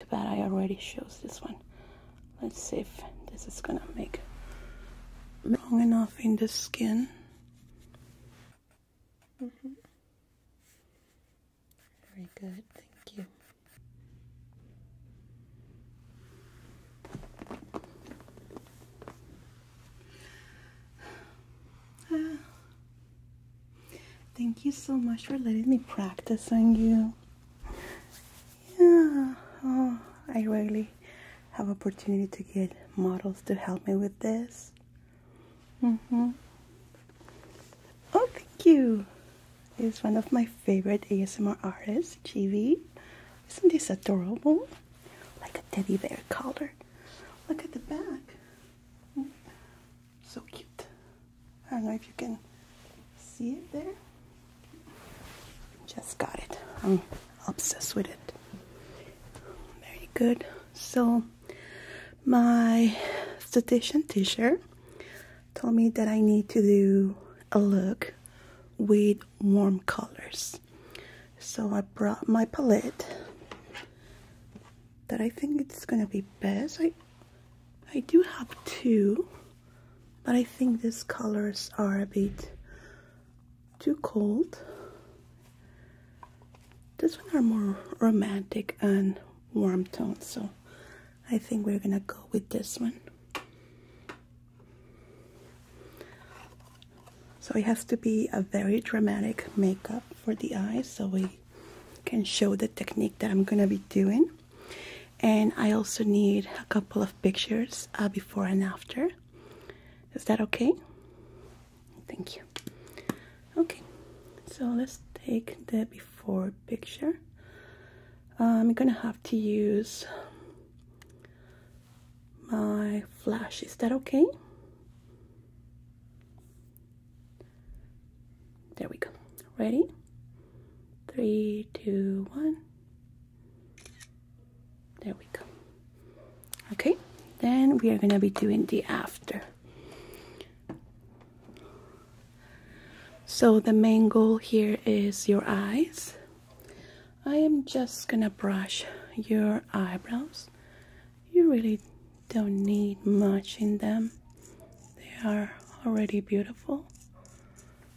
Too bad I already chose this one. Let's see if this is gonna make long enough in the skin. Mm -hmm. Very good, thank you. Thank you so much for letting me practice on you yeah, oh, I rarely have opportunity to get models to help me with this. Mm-hmm. Oh, thank you. Is one of my favorite ASMR artists, Chibi. Isn't this adorable? Like a teddy bear collar. Look at the back. Mm. So cute. I don't know if you can see it there. Just got it. I'm obsessed with it. Very good. So, my esthetician teacher told me that I need to do a look with warm colors. So I brought my palette that I think it's gonna be best. I I do have two but I think these colors are a bit too cold. This one are more romantic and warm tones, so I think we're gonna go with this one. So it has to be a very dramatic makeup for the eyes so we can show the technique that I'm gonna be doing and I also need a couple of pictures uh, before and after. Is that okay? Thank you. Okay, so let's take the before picture. Um, I'm gonna have to use my flash. Is that okay? There we go. Ready? Three, two, one. There we go. Okay, then we are going to be doing the after. So the main goal here is your eyes. I am just gonna brush your eyebrows. You really don't need much in them. They are already beautiful.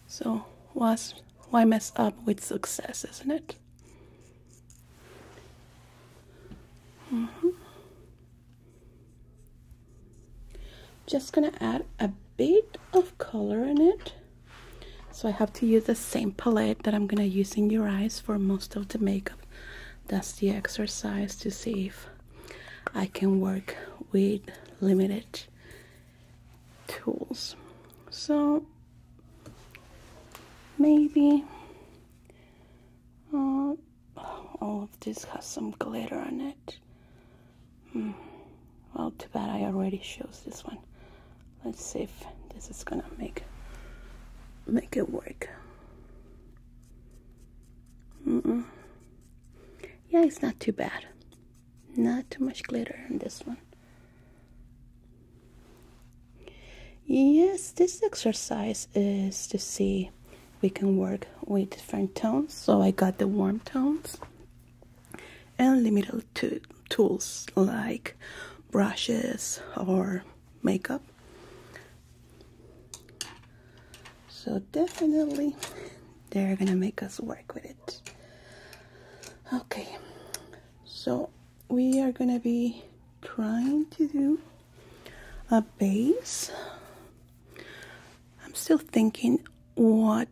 So why mess up with success, isn't it? Mm -hmm. Just gonna add a bit of color in it. So I have to use the same palette that I'm gonna use in your eyes for most of the makeup. That's the exercise to see if I can work with limited tools. So maybe uh, oh, all of this has some glitter on it. Hmm. Well, too bad I already chose this one. Let's see if this is gonna make make it work. Yeah, it's not too bad. Not too much glitter in this one. Yes, this exercise is to see we can work with different tones. So I got the warm tones and limited tools like brushes or makeup. So definitely they're gonna make us work with it. Okay, so we are gonna be trying to do a base. I'm still thinking what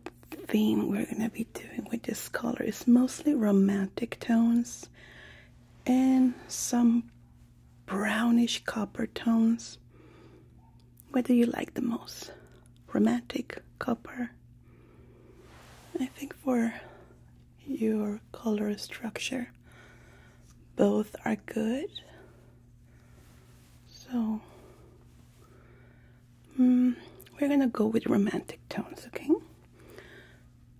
theme we're gonna be doing with this color. It's mostly romantic tones and some brownish copper tones. What do you like the most? Romantic, copper? I think for your color structure, both are good. So, mm, we're gonna go with romantic tones, okay?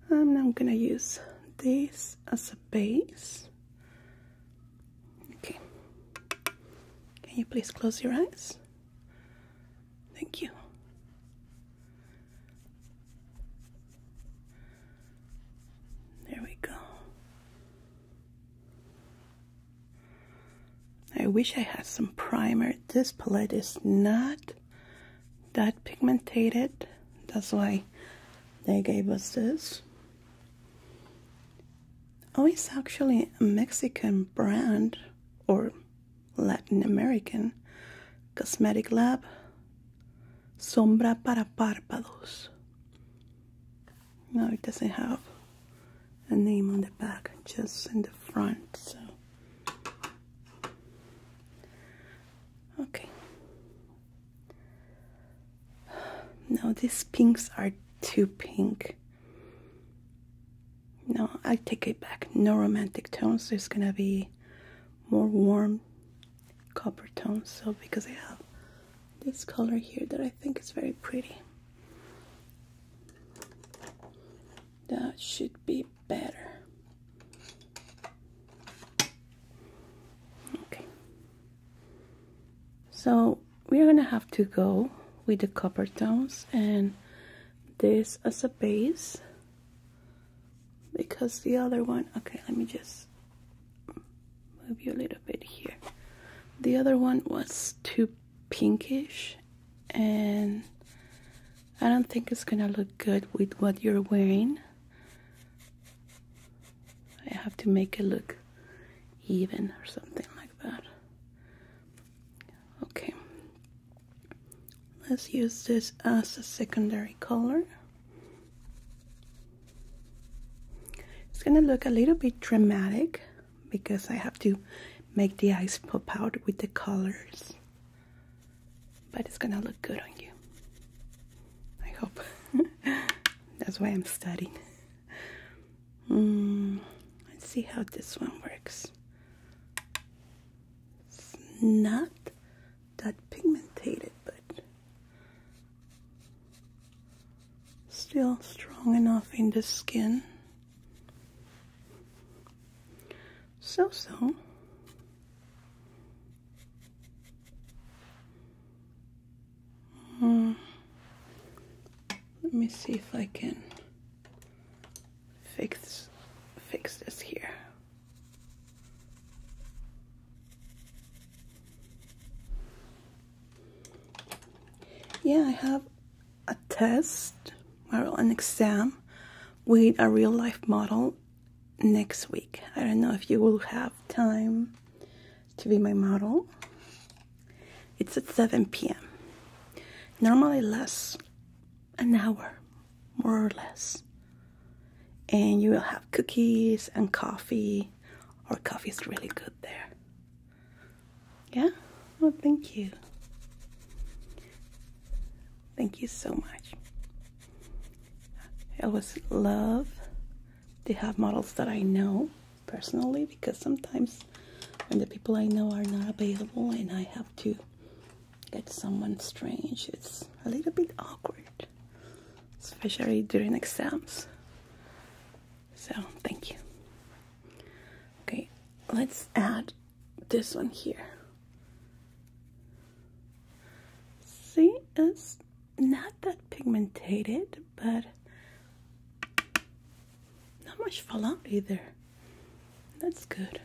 Um, I'm gonna use this as a base Okay. Can you please close your eyes? Thank you. There we go. I wish I had some primer. This palette is not that pigmented. That's why they gave us this. Oh, it's actually a Mexican brand or Latin American cosmetic lab. Sombra para párpados. No, it doesn't have a name on the back, just in the front. So, okay. No, these pinks are too pink. No, I take it back. No romantic tones. There's gonna be more warm copper tones. So because I have this color here that I think is very pretty. That should be better. Okay. So we're gonna have to go with the copper tones and this as a base because the other one okay let me just move you a little bit here the other one was too pinkish and I don't think it's gonna look good with what you're wearing I have to make it look even or something like that Okay, let's use this as a secondary color. It's gonna look a little bit dramatic because I have to make the eyes pop out with the colors, but it's gonna look good on you. I hope. That's why I'm studying. Hmm, let's see how this one works. not that pigmented, but still strong enough in the skin. So so. Hmm, let me see if I can fix fix this here. Yeah, I have a test or an exam with a real life model next week. I don't know if you will have time to be my model. It's at 7 p.m. Normally lasts an hour, more or less. And you will have cookies and coffee, or coffee is really good there. Yeah? Oh, thank you. Thank you so much. I always love to have models that I know personally because sometimes when the people I know are not available and I have to get someone strange, it's a little bit awkward, especially during exams. So, thank you. Okay, let's add this one here. See, it's not that pigmented, but not much fallout either. That's good.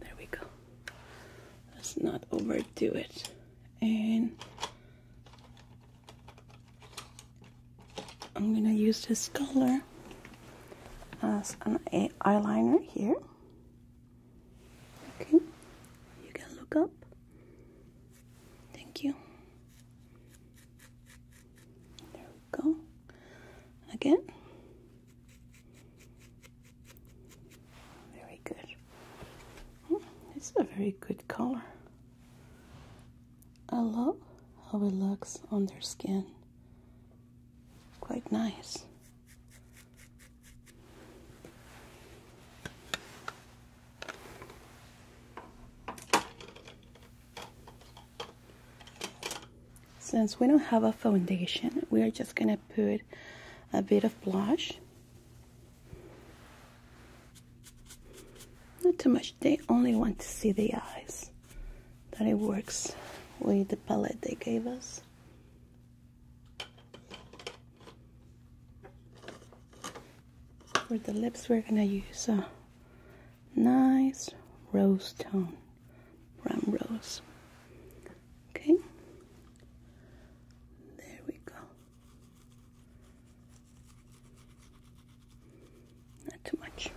There we go. Let's not overdo it. And I'm gonna use this color as an eyeliner here. Okay, you can look up. Thank you. There we go. Again. Very good. Oh, hmm, it's a very good color. I love how it looks on their skin. Quite nice. Since we don't have a foundation, we are just going to put a bit of blush. Not too much. They only want to see the eyes. That it works with the palette they gave us. For the lips, we're gonna use a nice rose tone, brown rose. Okay, there we go. Not too much.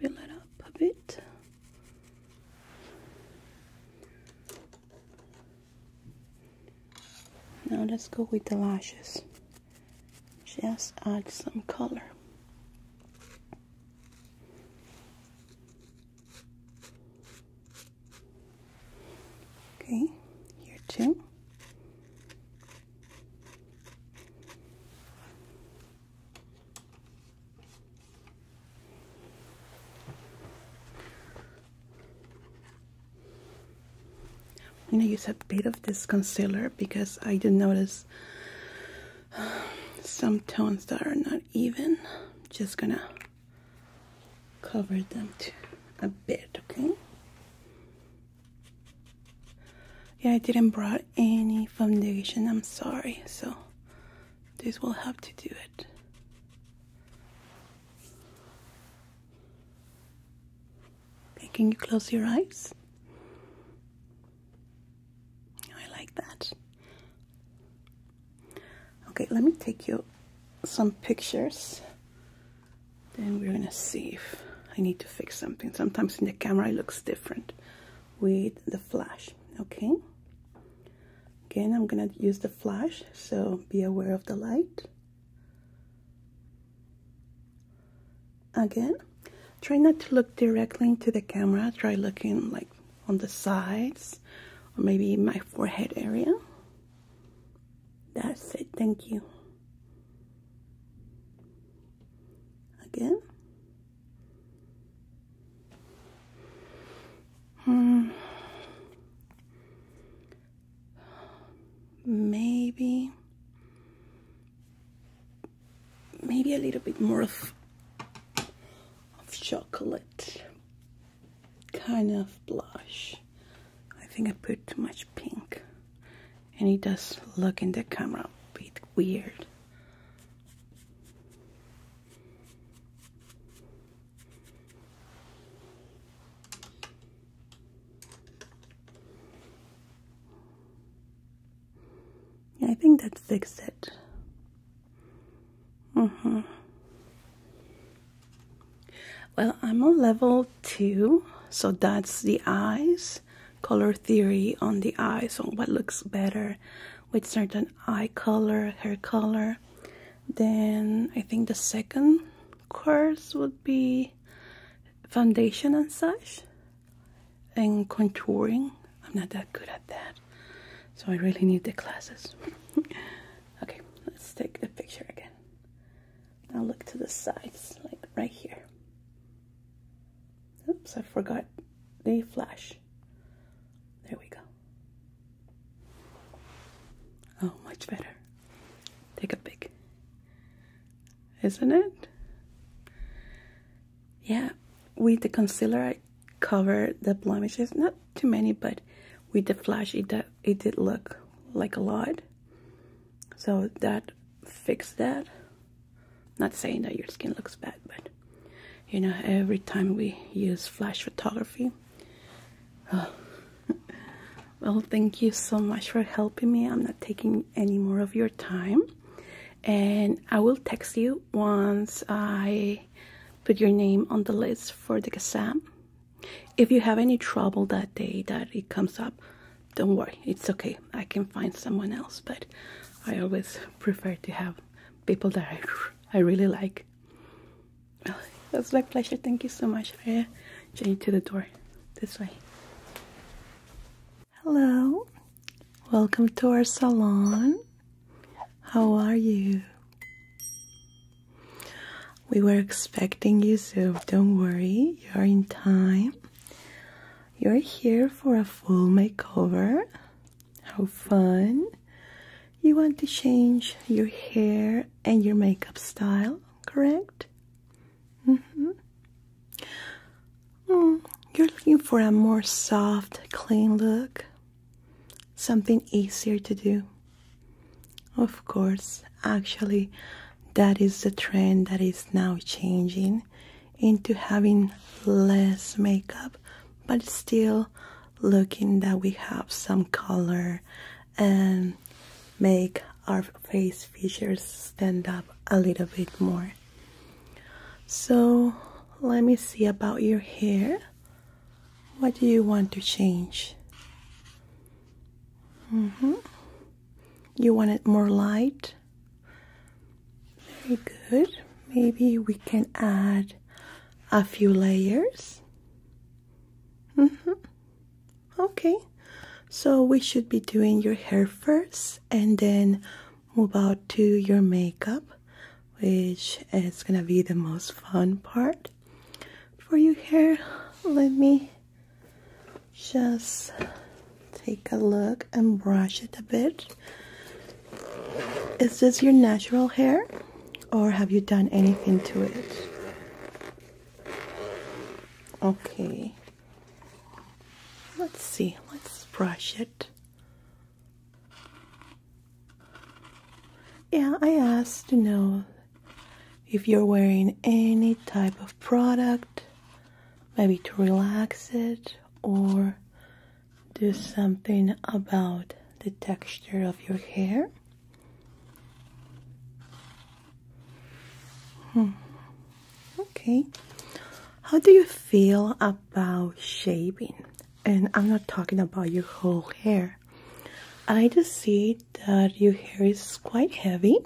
fill it up a bit. Now let's go with the lashes. Just add some color. Okay, here too. I'm gonna use a bit of this concealer because I do notice some tones that are not even. I'm just gonna cover them to a bit, okay? Yeah, I didn't brought any foundation, I'm sorry, so this will help to do it. Okay, can you close your eyes? I like that. Okay, let me take you some pictures. Then we're gonna see if I need to fix something. Sometimes in the camera it looks different with the flash, okay? Again, I'm gonna use the flash, so be aware of the light. Again, try not to look directly into the camera. Try looking like on the sides or maybe my forehead area. That's it, thank you. Again. Hmm maybe maybe a little bit more of of chocolate kind of blush I think I put too much pink and it does look in the camera a bit weird yeah, I think that fixed it. Mm-hmm. Well, I'm on level two, so that's the eyes, color theory on the eyes, on what looks better with certain eye color, hair color. Then I think the second course would be foundation and such and contouring. I'm not that good at that. So I really need the classes. okay, let's take the picture again. Now look to the sides, like right here. Oops, I forgot the flash. There we go. Oh, much better. Take a pic. Isn't it? Yeah, with the concealer I covered the blemishes. Not too many, but with the flash it, did, it did look like a lot. So that fixed that. Not saying that your skin looks bad, but you know, every time we use flash photography, well, thank you so much for helping me. I'm not taking any more of your time. And I will text you once I put your name on the list for the exam. If you have any trouble that day that it comes up, don't worry, it's okay. I can find someone else, but I always prefer to have people that I, I really like. That's my pleasure. Thank you so much. I journey to the door this way. Hello. Welcome to our salon. How are you? We were expecting you, so don't worry. You're in time. You're here for a full makeover. How fun you want to change your hair and your makeup style, correct? Mm-hmm. Mm, you're looking for a more soft, clean look, something easier to do. Of course, actually, that is the trend that is now changing into having less makeup, but still looking that we have some color and um, make our face features stand up a little bit more. So, let me see about your hair. What do you want to change? Mm-hmm. You want it more light? Very good. Maybe we can add a few layers. Mm-hmm. Okay, so we should be doing your hair first and then move out to your makeup, which is gonna be the most fun part for your hair. Let me just take a look and brush it a bit. Is this your natural hair or have you done anything to it? Okay. Let's see. Let's brush it. Yeah, I asked to know if you're wearing any type of product, maybe to relax it or do something about the texture of your hair. Hmm. Okay. How do you feel about shaving? And I'm not talking about your whole hair. I just see that your hair is quite heavy.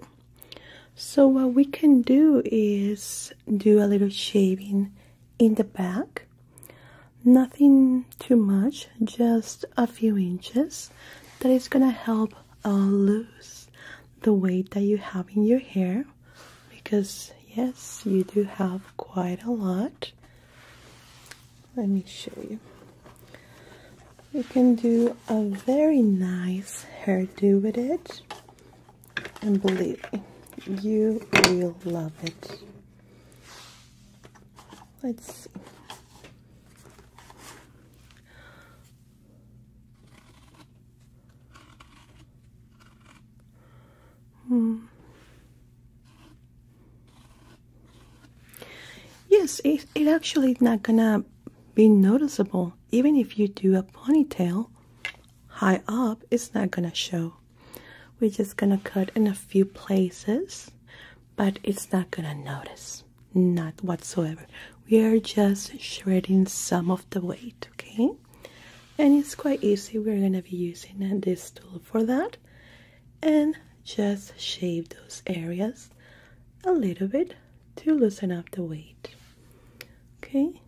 So what we can do is do a little shaving in the back. Nothing too much, just a few inches that is gonna help uh, lose the weight that you have in your hair because yes you do have quite a lot let me show you you can do a very nice hairdo with it and believe me you will love it Let's see. Hmm. Yes, it, it actually not gonna be noticeable. Even if you do a ponytail high up, it's not gonna show. We're just gonna cut in a few places but it's not gonna notice, not whatsoever. We are just shredding some of the weight, okay? And it's quite easy. We're gonna be using this tool for that, and just shave those areas a little bit to loosen up the weight. Okay,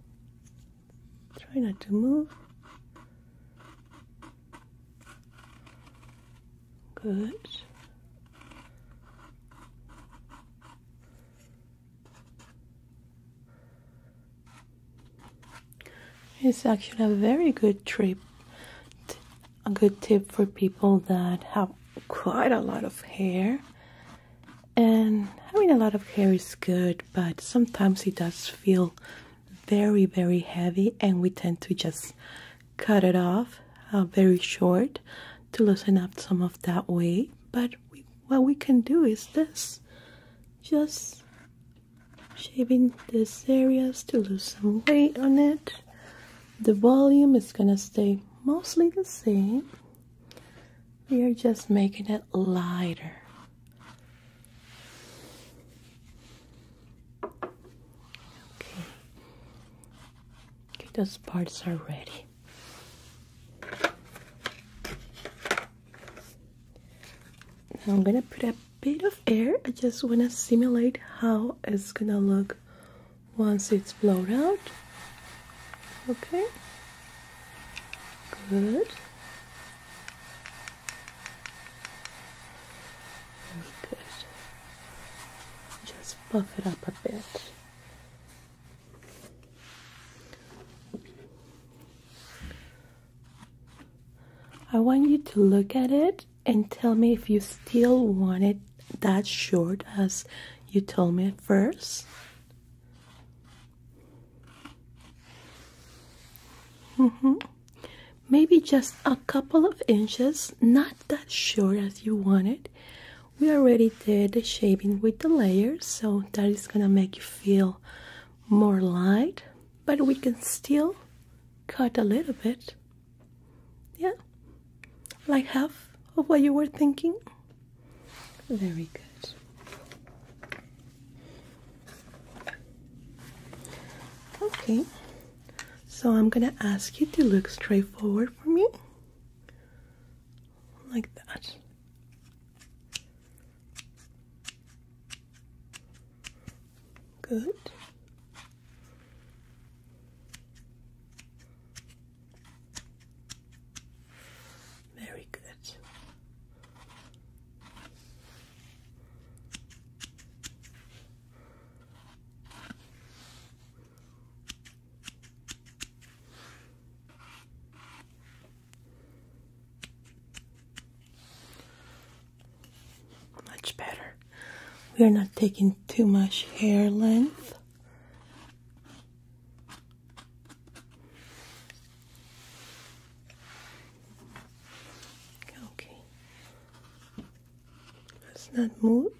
try not to move. Good. It's actually a very good trip, a good tip for people that have quite a lot of hair. And having a lot of hair is good, but sometimes it does feel very, very heavy, and we tend to just cut it off uh, very short to loosen up some of that weight. But what we can do is this just shaving these areas to lose some weight on it. The volume is gonna stay mostly the same. We are just making it lighter. Okay. Okay, those parts are ready. I'm gonna put a bit of air. I just wanna simulate how it's gonna look once it's blown out. Okay. Good. Good buff it up a bit. I want you to look at it and tell me if you still want it that short as you told me at first. -hmm. Maybe just a couple of inches, not that short as you want it, we already did the shaping with the layers so that is gonna make you feel more light but we can still cut a little bit yeah like half of what you were thinking very good okay so I'm gonna ask you to look straight forward for me. Like that. Good. Very good. Much better. We are not taking too much hair length. Okay. Let's not move.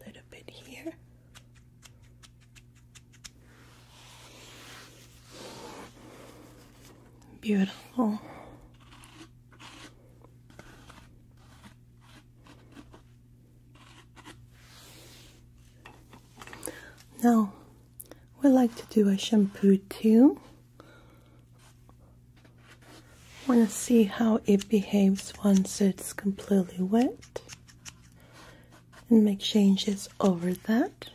A little bit here. Beautiful. Now, we like to do a shampoo too. Want to see how it behaves once it's completely wet and make changes over that.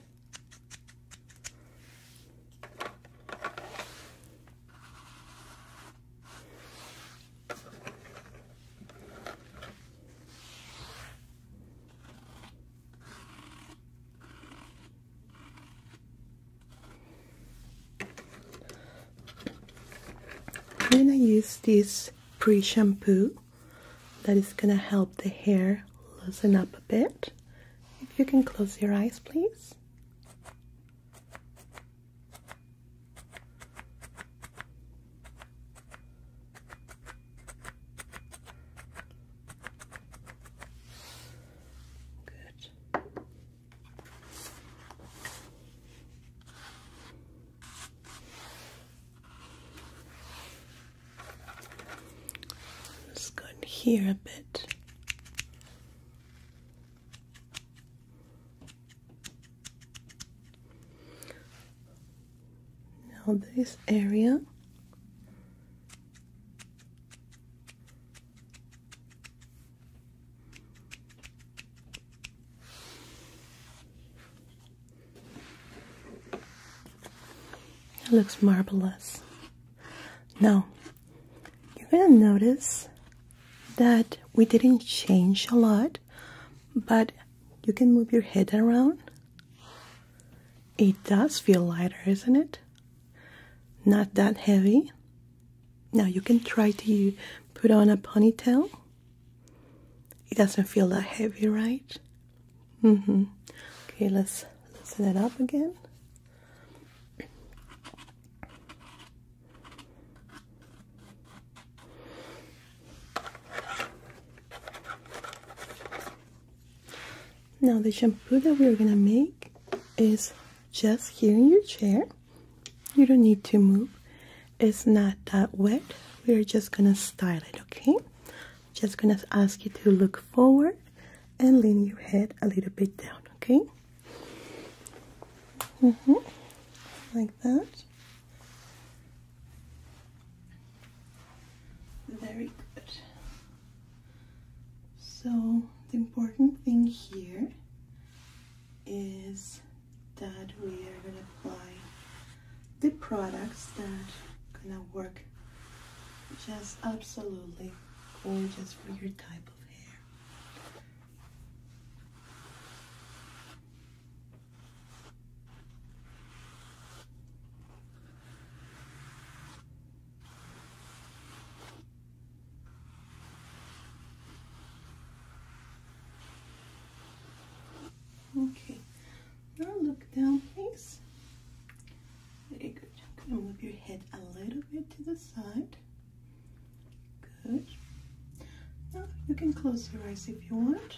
Then I use this pre shampoo that is gonna help the hair loosen up a bit. If you can close your eyes, please. Good. Let's go in here a bit. Now, this area it looks marvelous. Now, you're going to notice that we didn't change a lot but you can move your head around. It does feel lighter, isn't it? Not that heavy. Now you can try to put on a ponytail. It doesn't feel that heavy, right? Mm-hmm. Okay, let's loosen it up again. Now, the shampoo that we're gonna make is just here in your chair. You don't need to move, it's not that wet. We're just gonna style it, okay? Just gonna ask you to look forward and lean your head a little bit down, okay? -hmm. Like that. Very good. So the important thing here is that we are going to apply the products that gonna work just absolutely gorgeous for your type of hair. Okay, now look down, please. Very good. I'm gonna move your head a little bit to the side. Good. Now you can close your eyes if you want.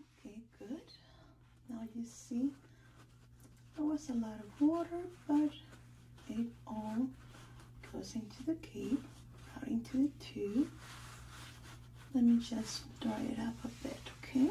Okay, good. Now you see there was a lot of water, but it all goes into the cape, out into the tube. Let me just dry it up a bit, okay?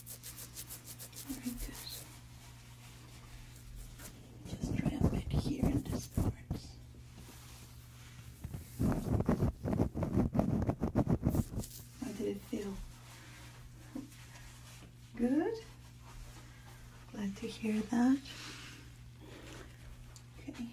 Very Just try a here in this part. How did it feel? Good? Glad to hear that. Okay.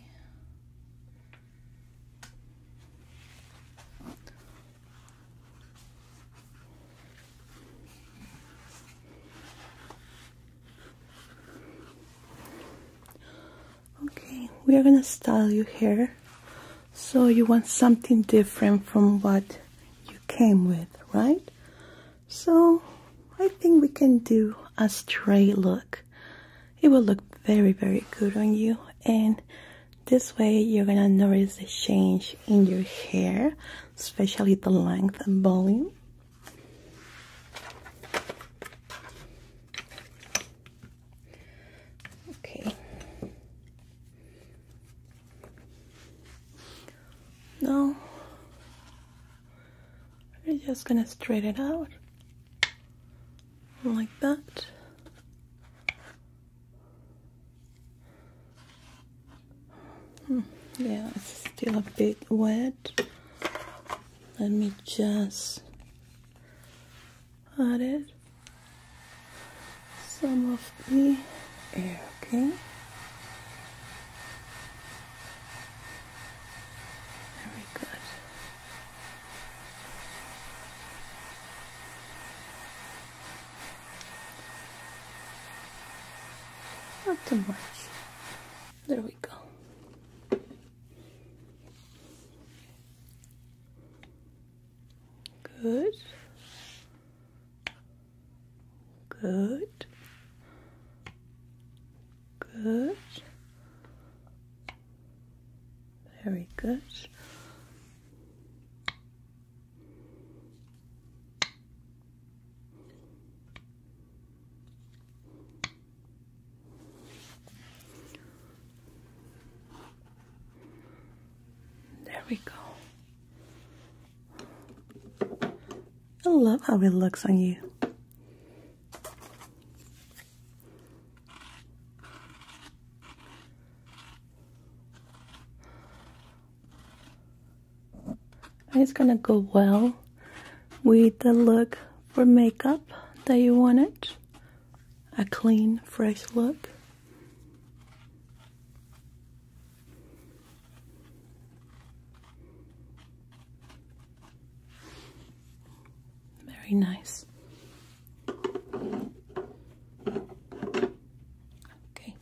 Okay, we are gonna style your hair so you want something different from what you came with, right? So I think we can do a straight look. It will look very, very good on you and this way you're gonna notice the change in your hair, especially the length and volume. Okay. No, we're just gonna straighten it out like that. Hmm. yeah it's still a bit wet let me just add it some of the air okay very good not too much. There we go. Good. Good. Good. Very good. There we go. I love how it looks on you. It's gonna go well with the look for makeup that you wanted. A clean, fresh look. Very nice. Okay,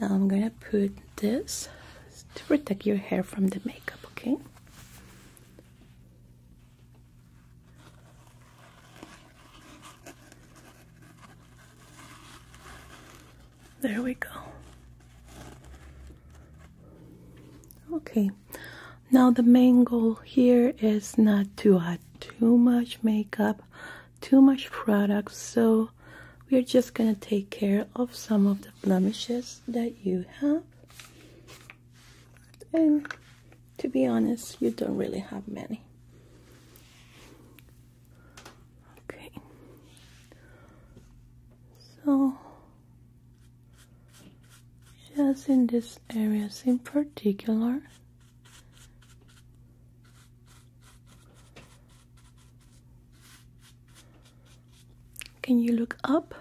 now I'm gonna put this to protect your hair from the makeup, okay? There we go. Okay, now the main goal here is not to add too much makeup too much product so we're just gonna take care of some of the blemishes that you have and to be honest you don't really have many okay so just in this areas in particular can you look up?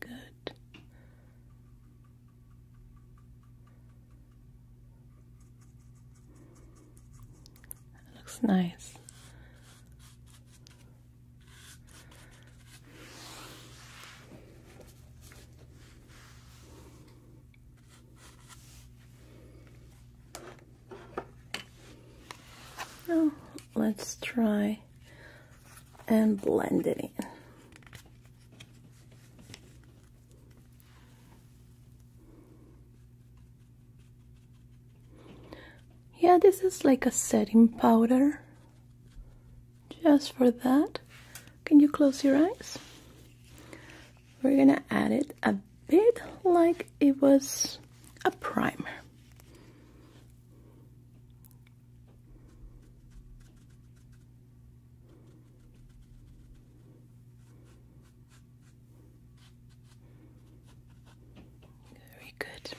Good. looks nice. Now let's try and blend it in. Yeah, this is like a setting powder. Just for that. Can you close your eyes? we're gonna add it a bit like it was a primer. Very good.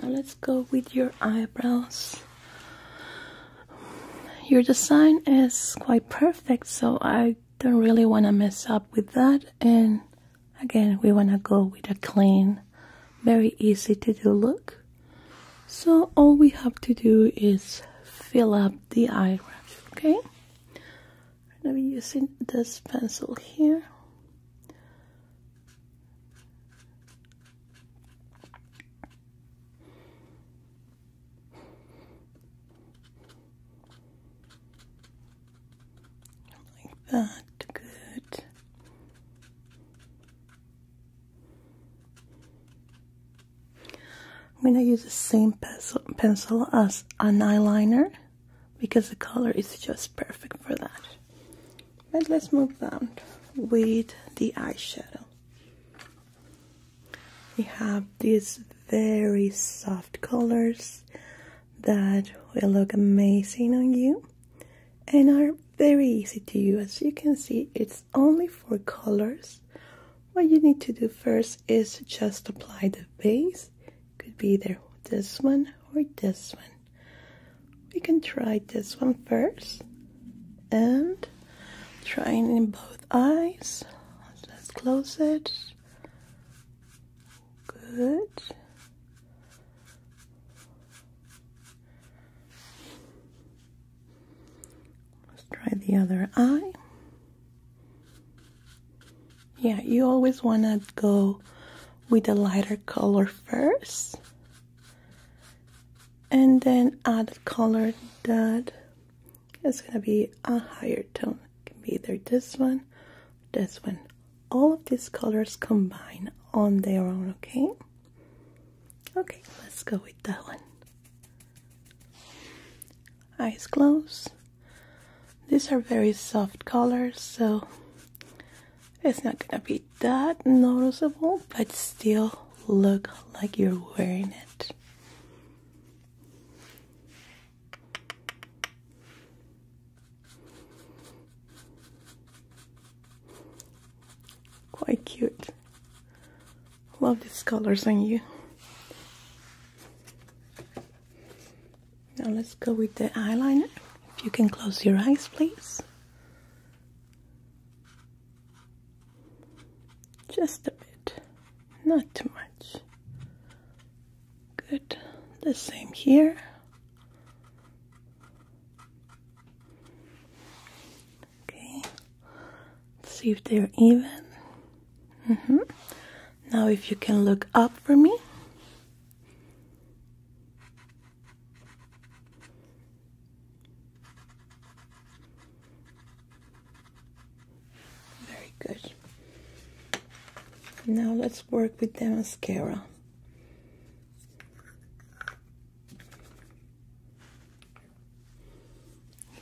Now let's go with your eyebrows. Your design is quite perfect, so I don't really want to mess up with that. And again, we want to go with a clean, very easy to do look. So all we have to do is fill up the eyelash, okay? I'm going to be using this pencil here. Like that, good. I'm going to use the same pencil, pencil as an eyeliner because the color is just perfect for that but let's move on with the eyeshadow we have these very soft colors that will look amazing on you and are very easy to use as you can see it's only four colors what you need to do first is just apply the base could be either this one or this one we can try this one first and trying in both eyes let's close it good let's try the other eye yeah you always want to go with a lighter color first and then add a color that is going to be a higher tone. can be either this one, this one. All of these colors combine on their own, okay? Okay, let's go with that one. Eyes closed. These are very soft colors, so it's not gonna be that noticeable, but still look like you're wearing it. Quite cute. Love these colors on you. Now let's go with the eyeliner. If you can close your eyes, please. Just a bit, not too much. Good, the same here. Okay, see if they're even. Mm-hmm. Now, if you can look up for me. Very good. Now let's work with the mascara.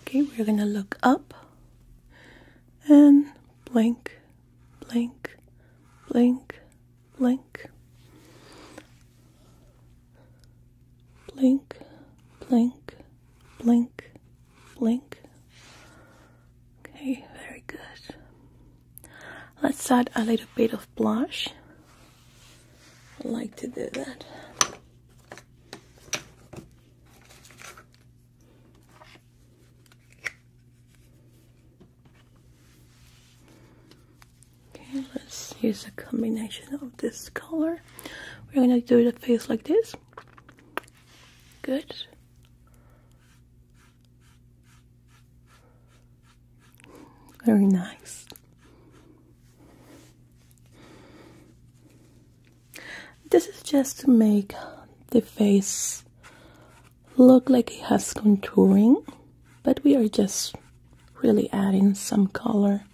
Okay, we're gonna look up and blink, blink, blink, blink, blink, blink, blink, blink. Okay, very good. Let's add a little bit of blush. I like to do that. Okay, let's use a combination of this color. We're gonna do the face like this. Good. Very nice. This is just to make the face look like it has contouring but we are just really adding some color.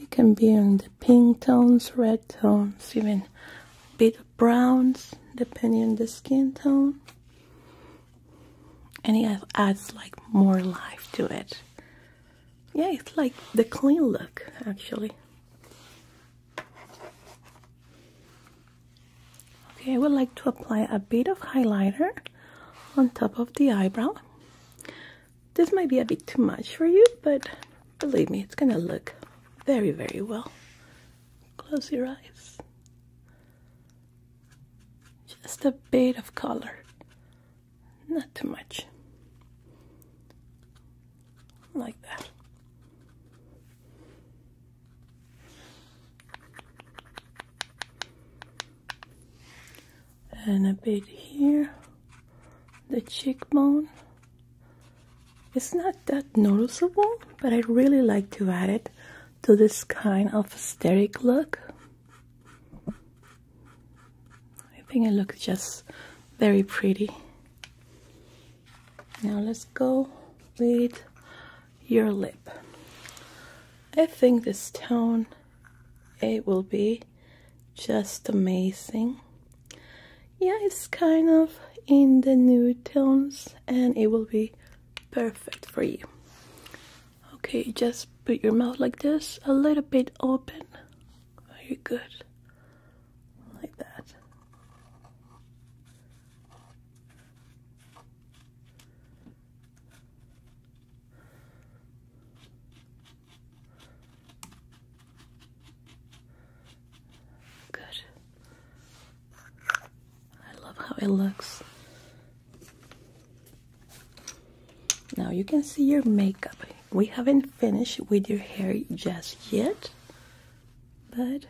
It can be on the pink tones, red tones, even a bit of browns, depending on the skin tone. And it adds like more life to it. Yeah, it's like the clean look, actually. Okay, I would like to apply a bit of highlighter on top of the eyebrow. This might be a bit too much for you, but believe me, it's gonna look very, very well. Close your eyes. Just a bit of color, not too much. Like that and a bit here the cheekbone it's not that noticeable but I really like to add it to this kind of aesthetic look I think it looks just very pretty now let's go with your lip. I think this tone, it will be just amazing. Yeah, it's kind of in the new tones and it will be perfect for you. Okay, just put your mouth like this, a little bit open. Are you good. Like that. Good. I love how it looks. Now you can see your makeup. We haven't finished with your hair just yet, but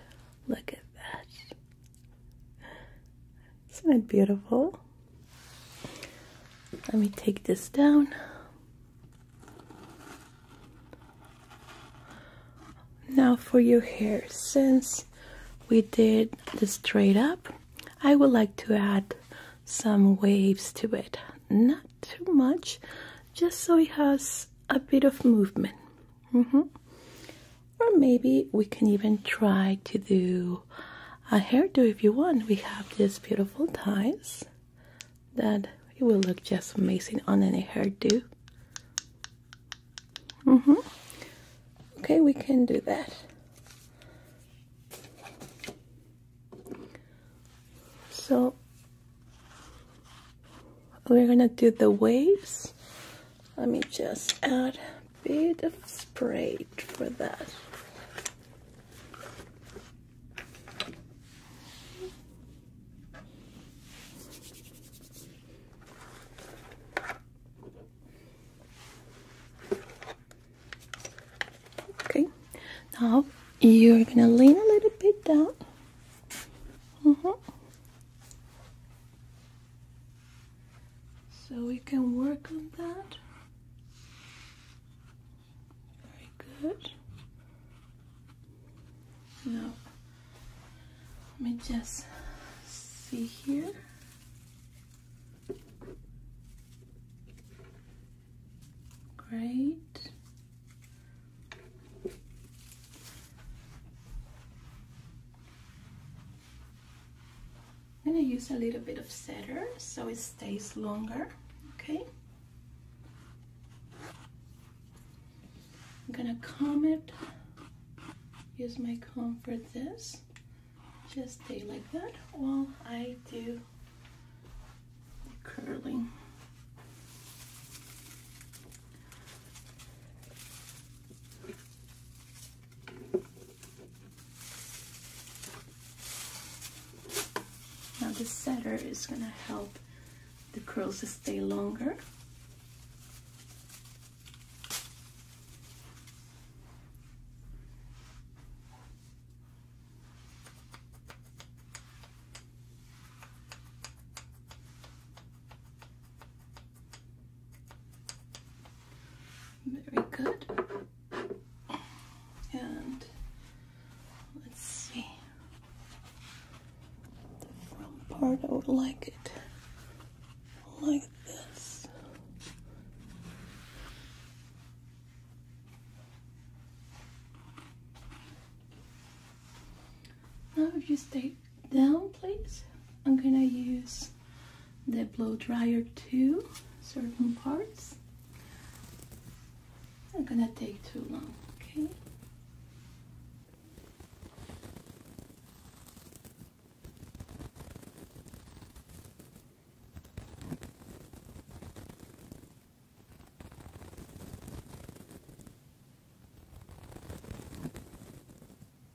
look at that. Isn't it beautiful? Let me take this down. Now for your hair, since we did the straight up, I would like to add some waves to it. Not too much, just so it has a bit of movement. -hmm or maybe we can even try to do a hairdo if you want. We have these beautiful ties that it will look just amazing on any hairdo. hmm Okay, we can do that. So we're gonna do the waves. Let me just add bit of spray for that. Okay, now you're gonna lean a little bit down. Uh mm-hmm. -huh. So we can work on that. Very good. Now, let me just see here. Great. I'm gonna use a little bit of setter so it stays longer, okay? I'm gonna comb it, use my comb for this, just stay like that while I do the curling. Now the setter is going to help the curls to stay longer. Very good. And let's see. The front part, I would like it like this. Now if you stay down, please, I'm gonna use the blow dryer to certain parts. Not gonna take too long, okay?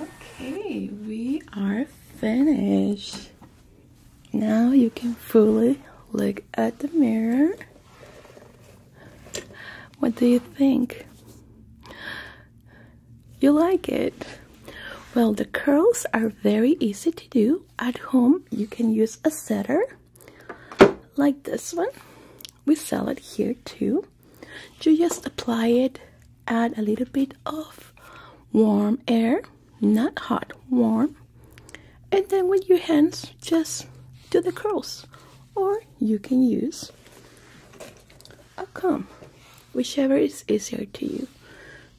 Okay, we are finished. Now you can fully look at the mirror. What do you think? You like it? Well, the curls are very easy to do. At home, you can use a setter like this one. We sell it here too. You just apply it, add a little bit of warm air, not hot, warm. And then with your hands, just do the curls. Or you can use a comb, whichever is easier to you.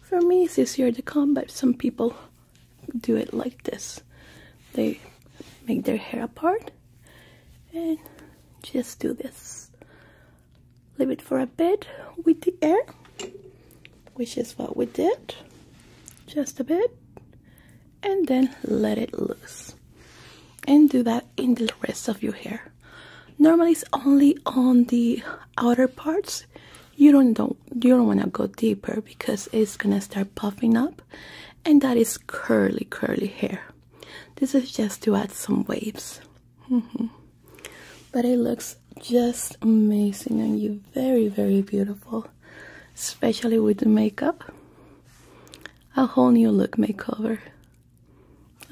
For me, it's easier to comb, but some people do it like this. They make their hair apart and just do this. Leave it for a bit with the air, which is what we did. Just a bit. And then let it loose. And do that in the rest of your hair. Normally it's only on the outer parts you don't don't you don't want to go deeper because it's gonna start puffing up and that is curly curly hair this is just to add some waves mm-hmm. but it looks just amazing on you very very beautiful especially with the makeup a whole new look makeover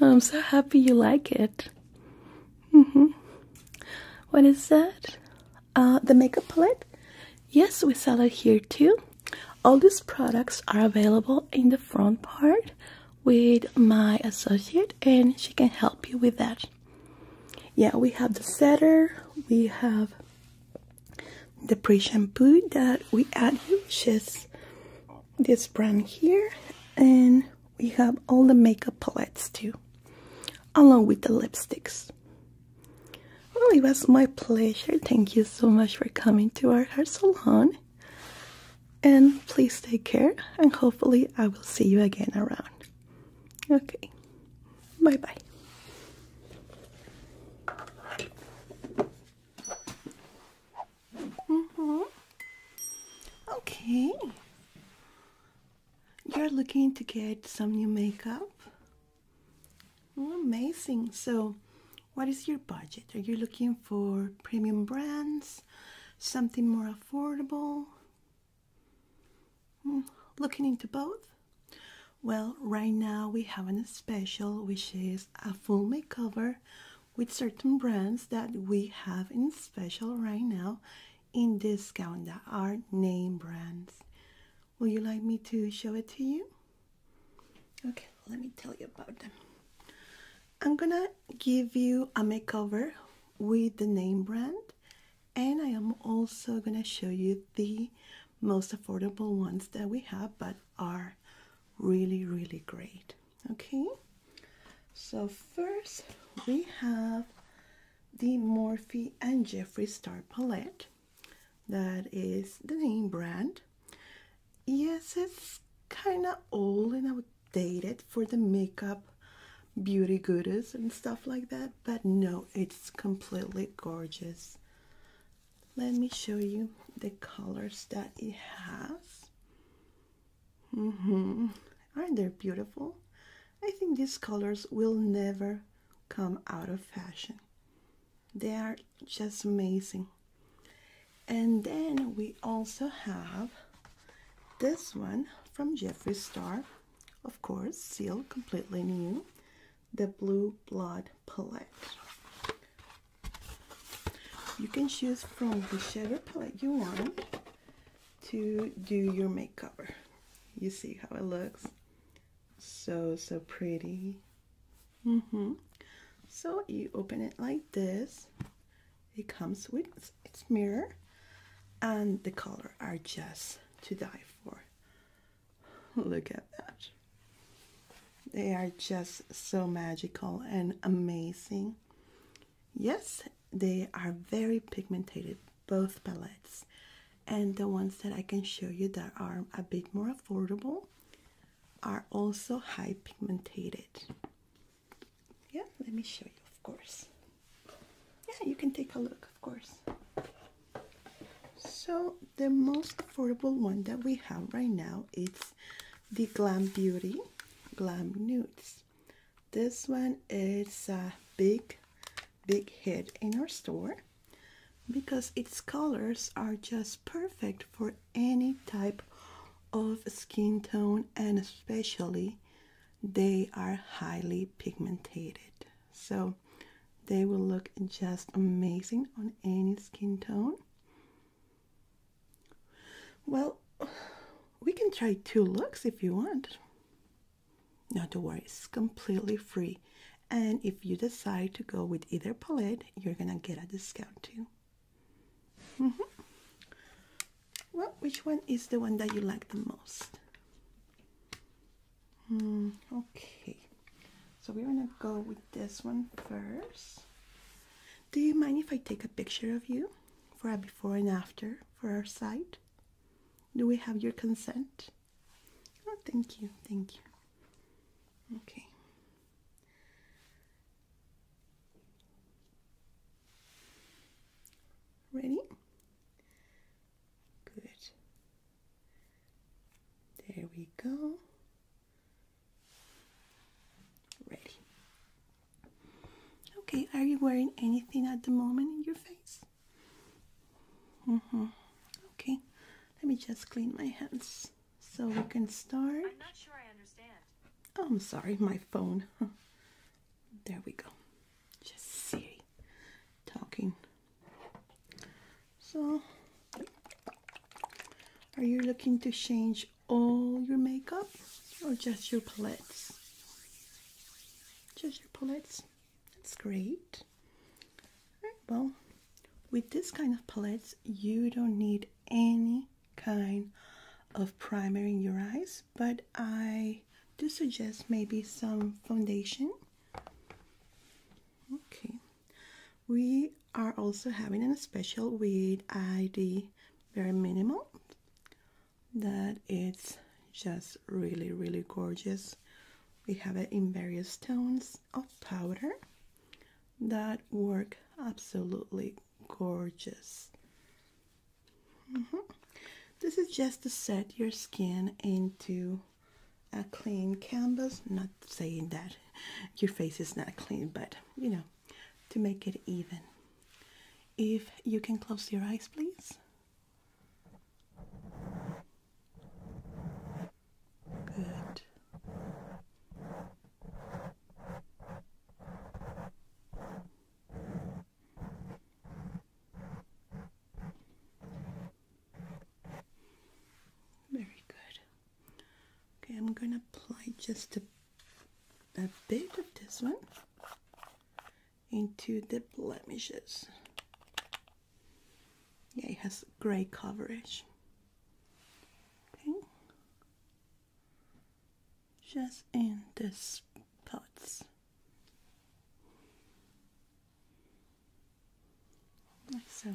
i'm so happy you like it mm-hmm. what is that uh, the makeup palette. Yes, we sell it here too. All these products are available in the front part with my associate, and she can help you with that. Yeah, we have the setter, we have the pre shampoo that we add which is this brand here, and we have all the makeup palettes too, along with the lipsticks. Well, oh, it was my pleasure. Thank you so much for coming to our hair salon. And please take care, and hopefully, I will see you again around. Okay, bye bye. -hmm. Okay, you're looking to get some new makeup. Oh, amazing. So, what is your budget? Are you looking for premium brands? Something more affordable? Hmm, looking into both? Well, right now we have an special which is a full makeover with certain brands that we have in special right now in this gown that are name brands. Would you like me to show it to you? Okay, let me tell you about them. I'm gonna give you a makeover with the name brand, and I am also gonna show you the most affordable ones that we have, but are really, really great. Okay, so first we have the Morphe and Jeffree Star palette. That is the name brand. Yes, it's kind of old and outdated for the makeup, beauty goodies, and stuff like that, but no, it's completely gorgeous. Let me show you the colors that it has. -hmm. Aren't they beautiful? I think these colors will never come out of fashion. They are just amazing. And then we also have this one from Jeffree Star, of course, sealed completely new, the Blue Blood palette. You can choose from whichever palette you want to do your makeup. You see how it looks. So, so pretty. Mm hmm So you open it like this. It comes with its mirror and the color are just to die for. Look at that. They are just so magical and amazing. Yes, they are very pigmented both palettes and the ones that I can show you that are a bit more affordable are also high pigmented. Yeah, let me show you, of course. Yeah, you can take a look, of course. So the most affordable one that we have right now is the Glam Beauty Glam Nudes. This one is a big, big hit in our store because its colors are just perfect for any type of skin tone and especially they are highly pigmented so they will look just amazing on any skin tone well we can try two looks if you want not to worry, it's completely free. And if you decide to go with either palette, you're gonna get a discount too. Mm-hmm. Well, which one is the one that you like the most? Hmm, okay, so we're gonna go with this one first. Do you mind if I take a picture of you for a before and after for our site? Do we have your consent? Oh, thank you, thank you. Okay. Ready? Good. There we go. Ready. Okay, are you wearing anything at the moment in your face? Mm hmm Okay, let me just clean my hands so we can start. I'm not sure I understand. Oh, I'm sorry, my phone. there we go. Just Siri talking. So, are you looking to change all your makeup or just your palettes? Just your palettes. That's great. well, with this kind of palettes, you don't need any kind of primer in your eyes, but I do suggest maybe some foundation. Okay. We are also having a special with ID Very Minimal that it's just really, really gorgeous. We have it in various tones of powder that work absolutely gorgeous. Mm-hmm. This is just to set your skin into a clean canvas. Not saying that your face is not clean, but you know, to make it even. If you can close your eyes, please. Good. Very good. Okay, I'm going to apply just a, a bit of this one into the blemishes. Yeah, it has grey coverage. Okay. Just in these spots. Like so.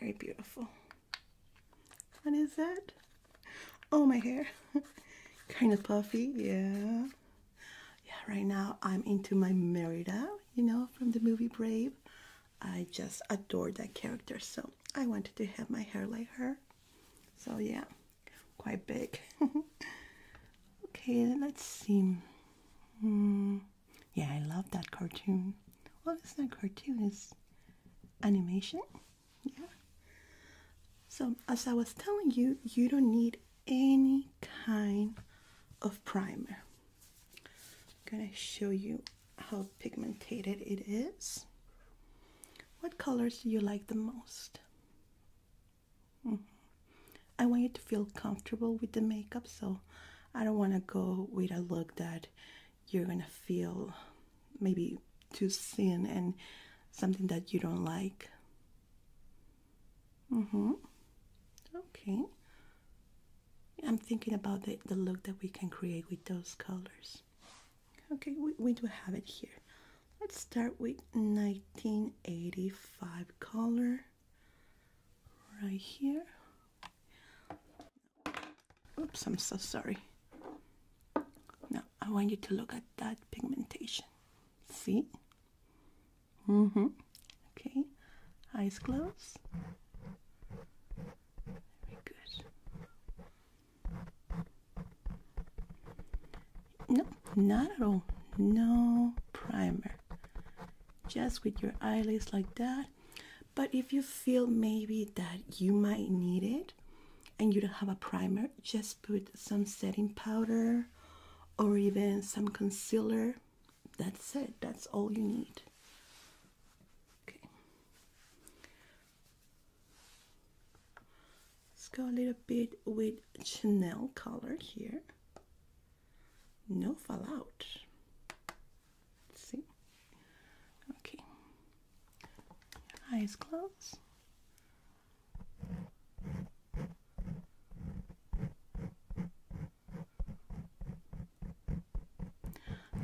Very beautiful. What is that? Oh, my hair. kind of puffy, yeah. Yeah, right now I'm into my Merida you know, from the movie Brave. I just adore that character, so I wanted to have my hair like her. So yeah, quite big. okay, let's see. Hmm, yeah, I love that cartoon. What is that cartoon, Is animation. Yeah. So as I was telling you, you don't need any kind of primer. I'm going to show you how pigmented it is. What colors do you like the most? Mm-hmm. I want you to feel comfortable with the makeup, so I don't want to go with a look that you're going to feel maybe too thin and something that you don't like. Mm-hmm. Okay. I'm thinking about the, the look that we can create with those colors. Okay, we, we do have it here. Let's start with 1985 color right here. Oops, I'm so sorry. Now, I want you to look at that pigmentation. See? Mm hmm. Okay. Eyes closed. Very good. No, not at all. No primer. Just with your eyelids like that. But if you feel maybe that you might need it and you don't have a primer, just put some setting powder or even some concealer that's it. That's all you need. Okay. Let's go a little bit with Chanel color here. No fallout. see? Okay. Eyes closed.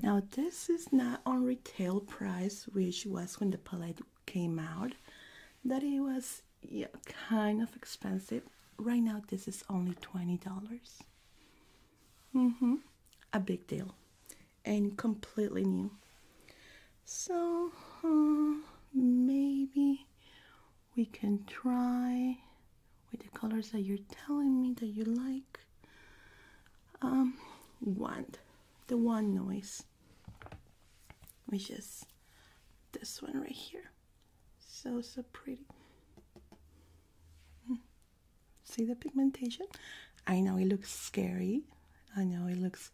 Now this is not on retail price, which was when the palette came out, that it was kind of expensive. Right now this is only $20. hmm A big deal. And completely new. So uh, maybe we can try with the colors that you're telling me that you like. Um, one, the one noise, which is this one right here. So, so pretty. Hmm. See the pigmentation? I know it looks scary. I know it looks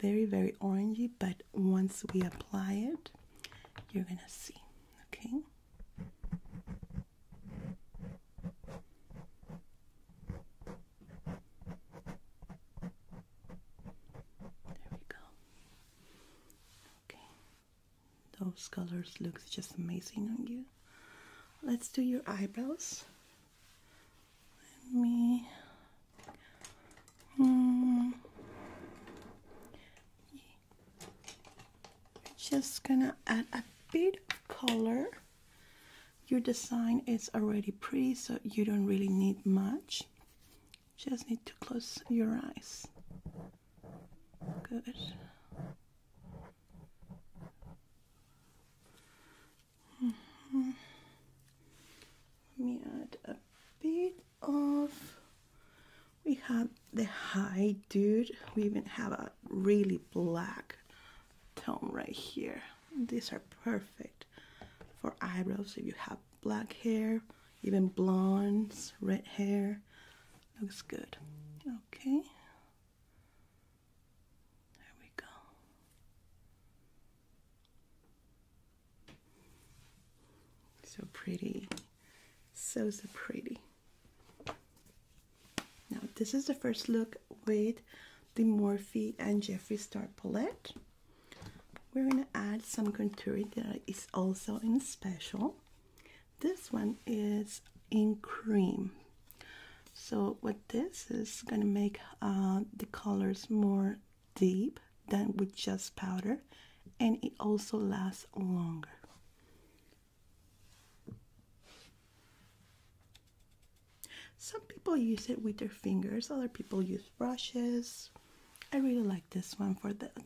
very, very orangey, but once we apply it, you're gonna see, okay? There we go. Okay. Those colors look just amazing on you. Let's do your eyebrows. Let me. Mm. We're just gonna add a bit of color. Your design is already pretty, so you don't really need much. Just need to close your eyes. Good. Mm-hmm. Let me add a bit of we have the high dude. We even have a really black tone right here. These are perfect for eyebrows if you have black hair, even blondes, red hair. Looks good. Okay. There we go. So pretty. So, so pretty. Now, this is the first look with the Morphe and Jeffree Star palette. We're going to add some contouring that is also in special. This one is in cream. So what this is going to make uh, the colors more deep than with just powder and it also lasts longer. Some people use it with their fingers, other people use brushes. I really like this one for that.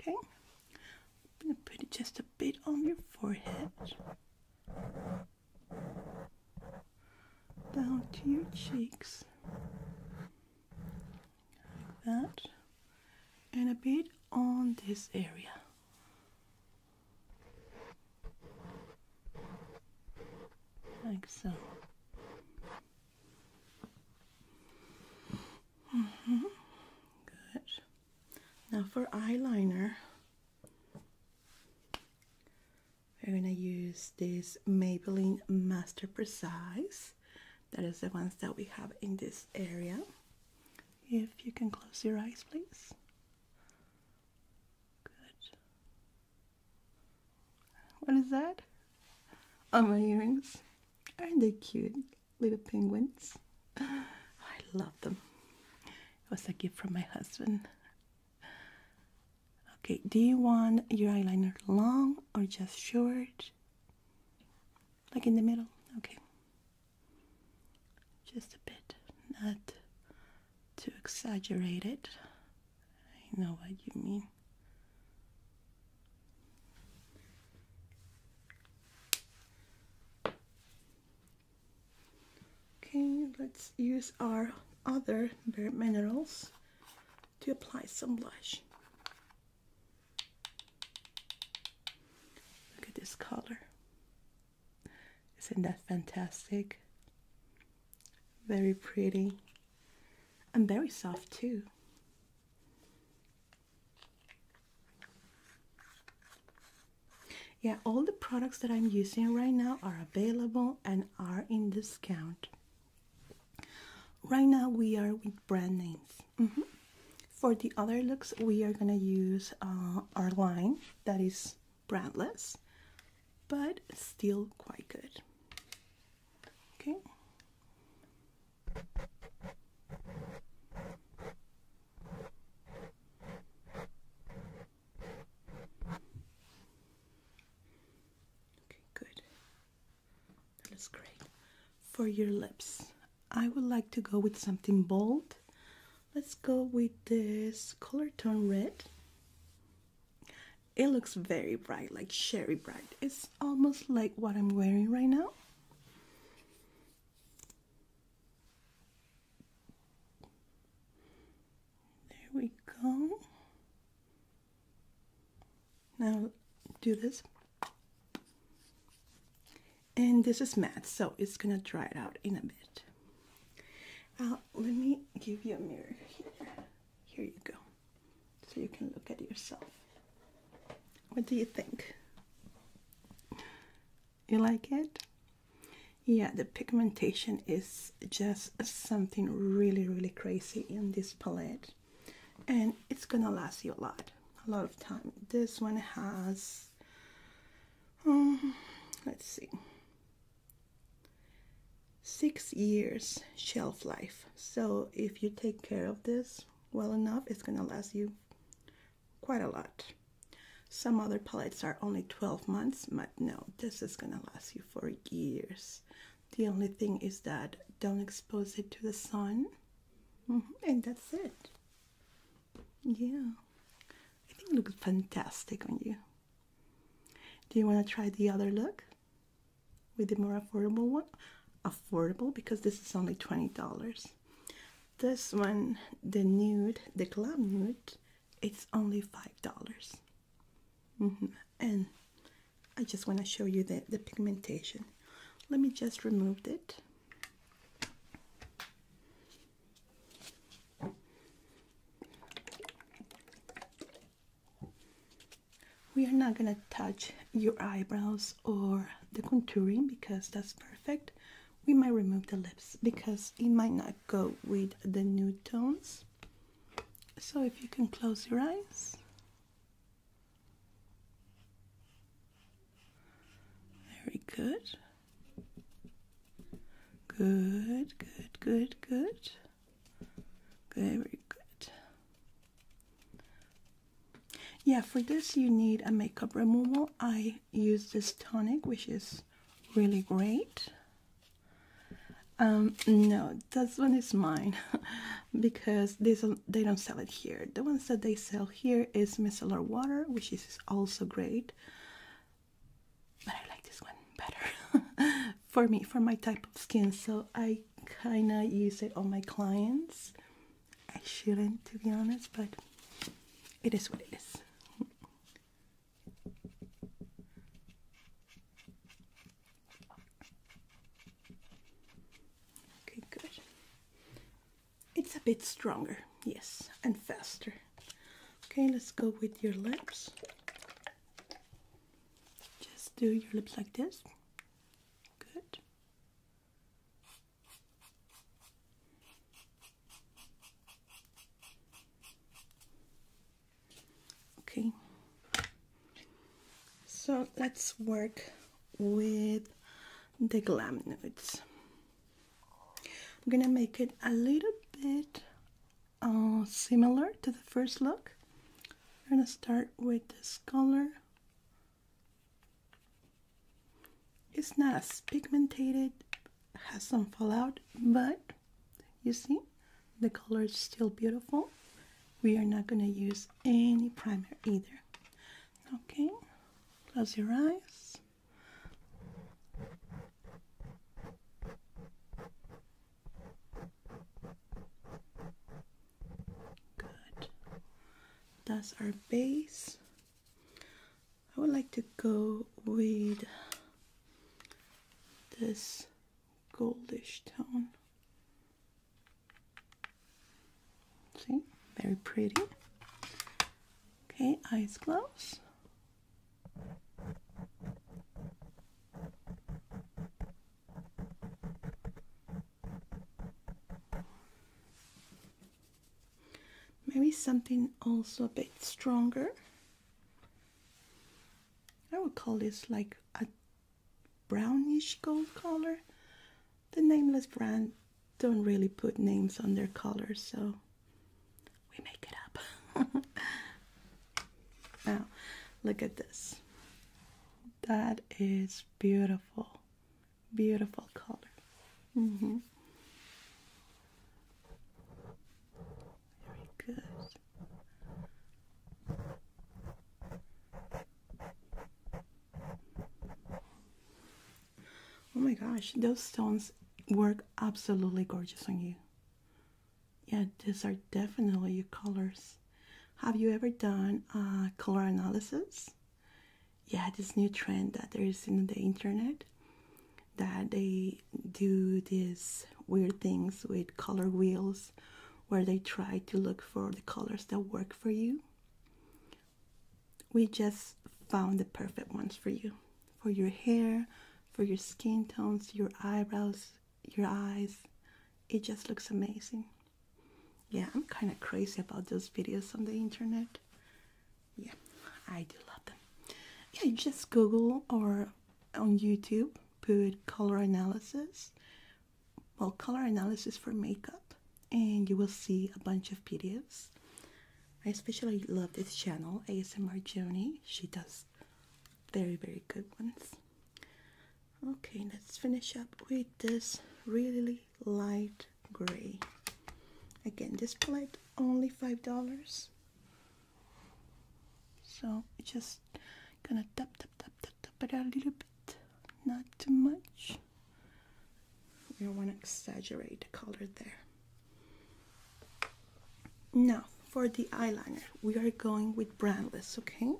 Okay, I'm gonna put it just a bit on your forehead, down to your cheeks, like that and a bit on this area. Like so. Mm-hmm. Good. Now for eyeliner, we're gonna use this Maybelline Master Precise. That is the ones that we have in this area. If you can close your eyes, please. Good. What is that? Oh, my earrings. Aren't they cute? Little penguins. I love them. It was a gift from my husband. Okay, do you want your eyeliner long or just short? Like in the middle? Okay. Just a bit, not too exaggerated. I know what you mean. Okay, let's use our other bare minerals to apply some blush. Look at this color. Isn't that fantastic? Very pretty. And very soft too. Yeah, all the products that I'm using right now are available and are in discount. Right now we are with brand names. Mm-hmm. For the other looks, we are gonna use uh, our line that is brandless, but still quite good. Okay. Okay, good. That looks great for your lips. I would like to go with something bold. Let's go with this color tone red. It looks very bright, like sherry bright. It's almost like what I'm wearing right now. There we go. Now do this and this is matte so it's gonna dry it out in a bit uh, let me give you a mirror here here you go so you can look at yourself what do you think you like it yeah the pigmentation is just something really really crazy in this palette and it's gonna last you a lot a lot of time this one has let's see. Six years shelf life. So if you take care of this well enough, it's going to last you quite a lot. Some other palettes are only 12 months, but no, this is going to last you for years. The only thing is that don't expose it to the sun. Mm-hmm, and that's it. Yeah, I think it looks fantastic on you. Do you want to try the other look with the more affordable one? Affordable because this is only $20. This one, the nude, the club nude, it's only $5. Mm-hmm. And I just want to show you the, the pigmentation. Let me just remove it. We are not going to touch your eyebrows or the contouring because that's perfect. We might remove the lips because it might not go with the new tones. So if you can close your eyes. Very good. Good, good, good, good. Very good. Yeah, for this you need a makeup removal. I use this tonic, which is really great. Um, no, this one is mine because this they don't sell it here. The ones that they sell here is micellar water, which is also great, but I like this one better for me, for my type of skin. So I kind of use it on my clients. I shouldn't, to be honest, but it is what it is. Okay, good. It's a bit stronger, yes, and faster. Okay, let's go with your lips. Just do your lips like this. Good. Okay. So let's work with the glam nudes. I'm gonna make it a little bit uh, similar to the first look. I'm gonna start with this color. It's not as pigmented, has some fallout, but you see, the color is still beautiful. We are not gonna use any primer either. Okay, close your eyes. Good. That's our base. I would like to go with this goldish tone. See, very pretty. Okay, eyes closed. Maybe something also a bit stronger. I would call this like a brownish gold color. The nameless brand don't really put names on their colors, so we make it up. now, look at this. That is beautiful. Beautiful color. Mm-hmm. Very good. Oh my gosh, those stones work absolutely gorgeous on you. Yeah, these are definitely your colors. Have you ever done uh, color analysis? Yeah, this new trend that there is in the internet that they do these weird things with color wheels where they try to look for the colors that work for you we just found the perfect ones for you for your hair, for your skin tones, your eyebrows, your eyes. It just looks amazing. Yeah, I'm kind of crazy about those videos on the internet. Yeah, I do love them. Yeah, just Google or on YouTube, put color analysis, well, color analysis for makeup, and you will see a bunch of videos. I especially love this channel, ASMR Journey. She does very, very good ones. Okay, let's finish up with this really light gray. Again, this palette only $5. So just gonna tap, tap, tap, tap, tap it a little bit. Not too much. We don't want to exaggerate the color there. Now, for the eyeliner, we are going with brandless, okay?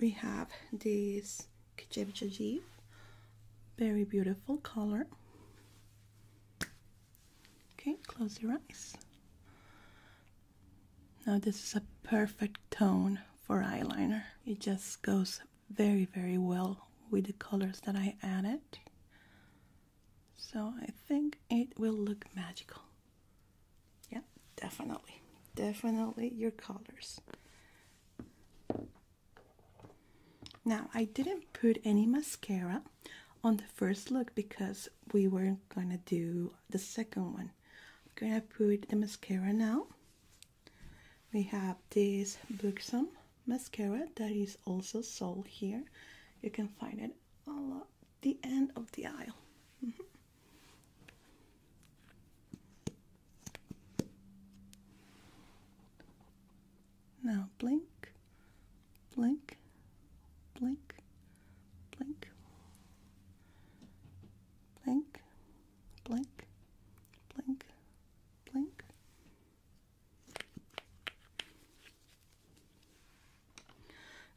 We have this Kijev Jajiv, very beautiful color. Okay, close your eyes. Now this is a perfect tone for eyeliner. It just goes very, very well with the colors that I added. So I think it will look magical. Yeah, definitely. Definitely your colors. Now, I didn't put any mascara on the first look because we weren't going to do the second one. I'm going to put the mascara now. We have this Buxom mascara that is also sold here. You can find it all at the end of the aisle. Mm-hmm. Now blink, blink, blink, blink, blink, blink, blink, blink,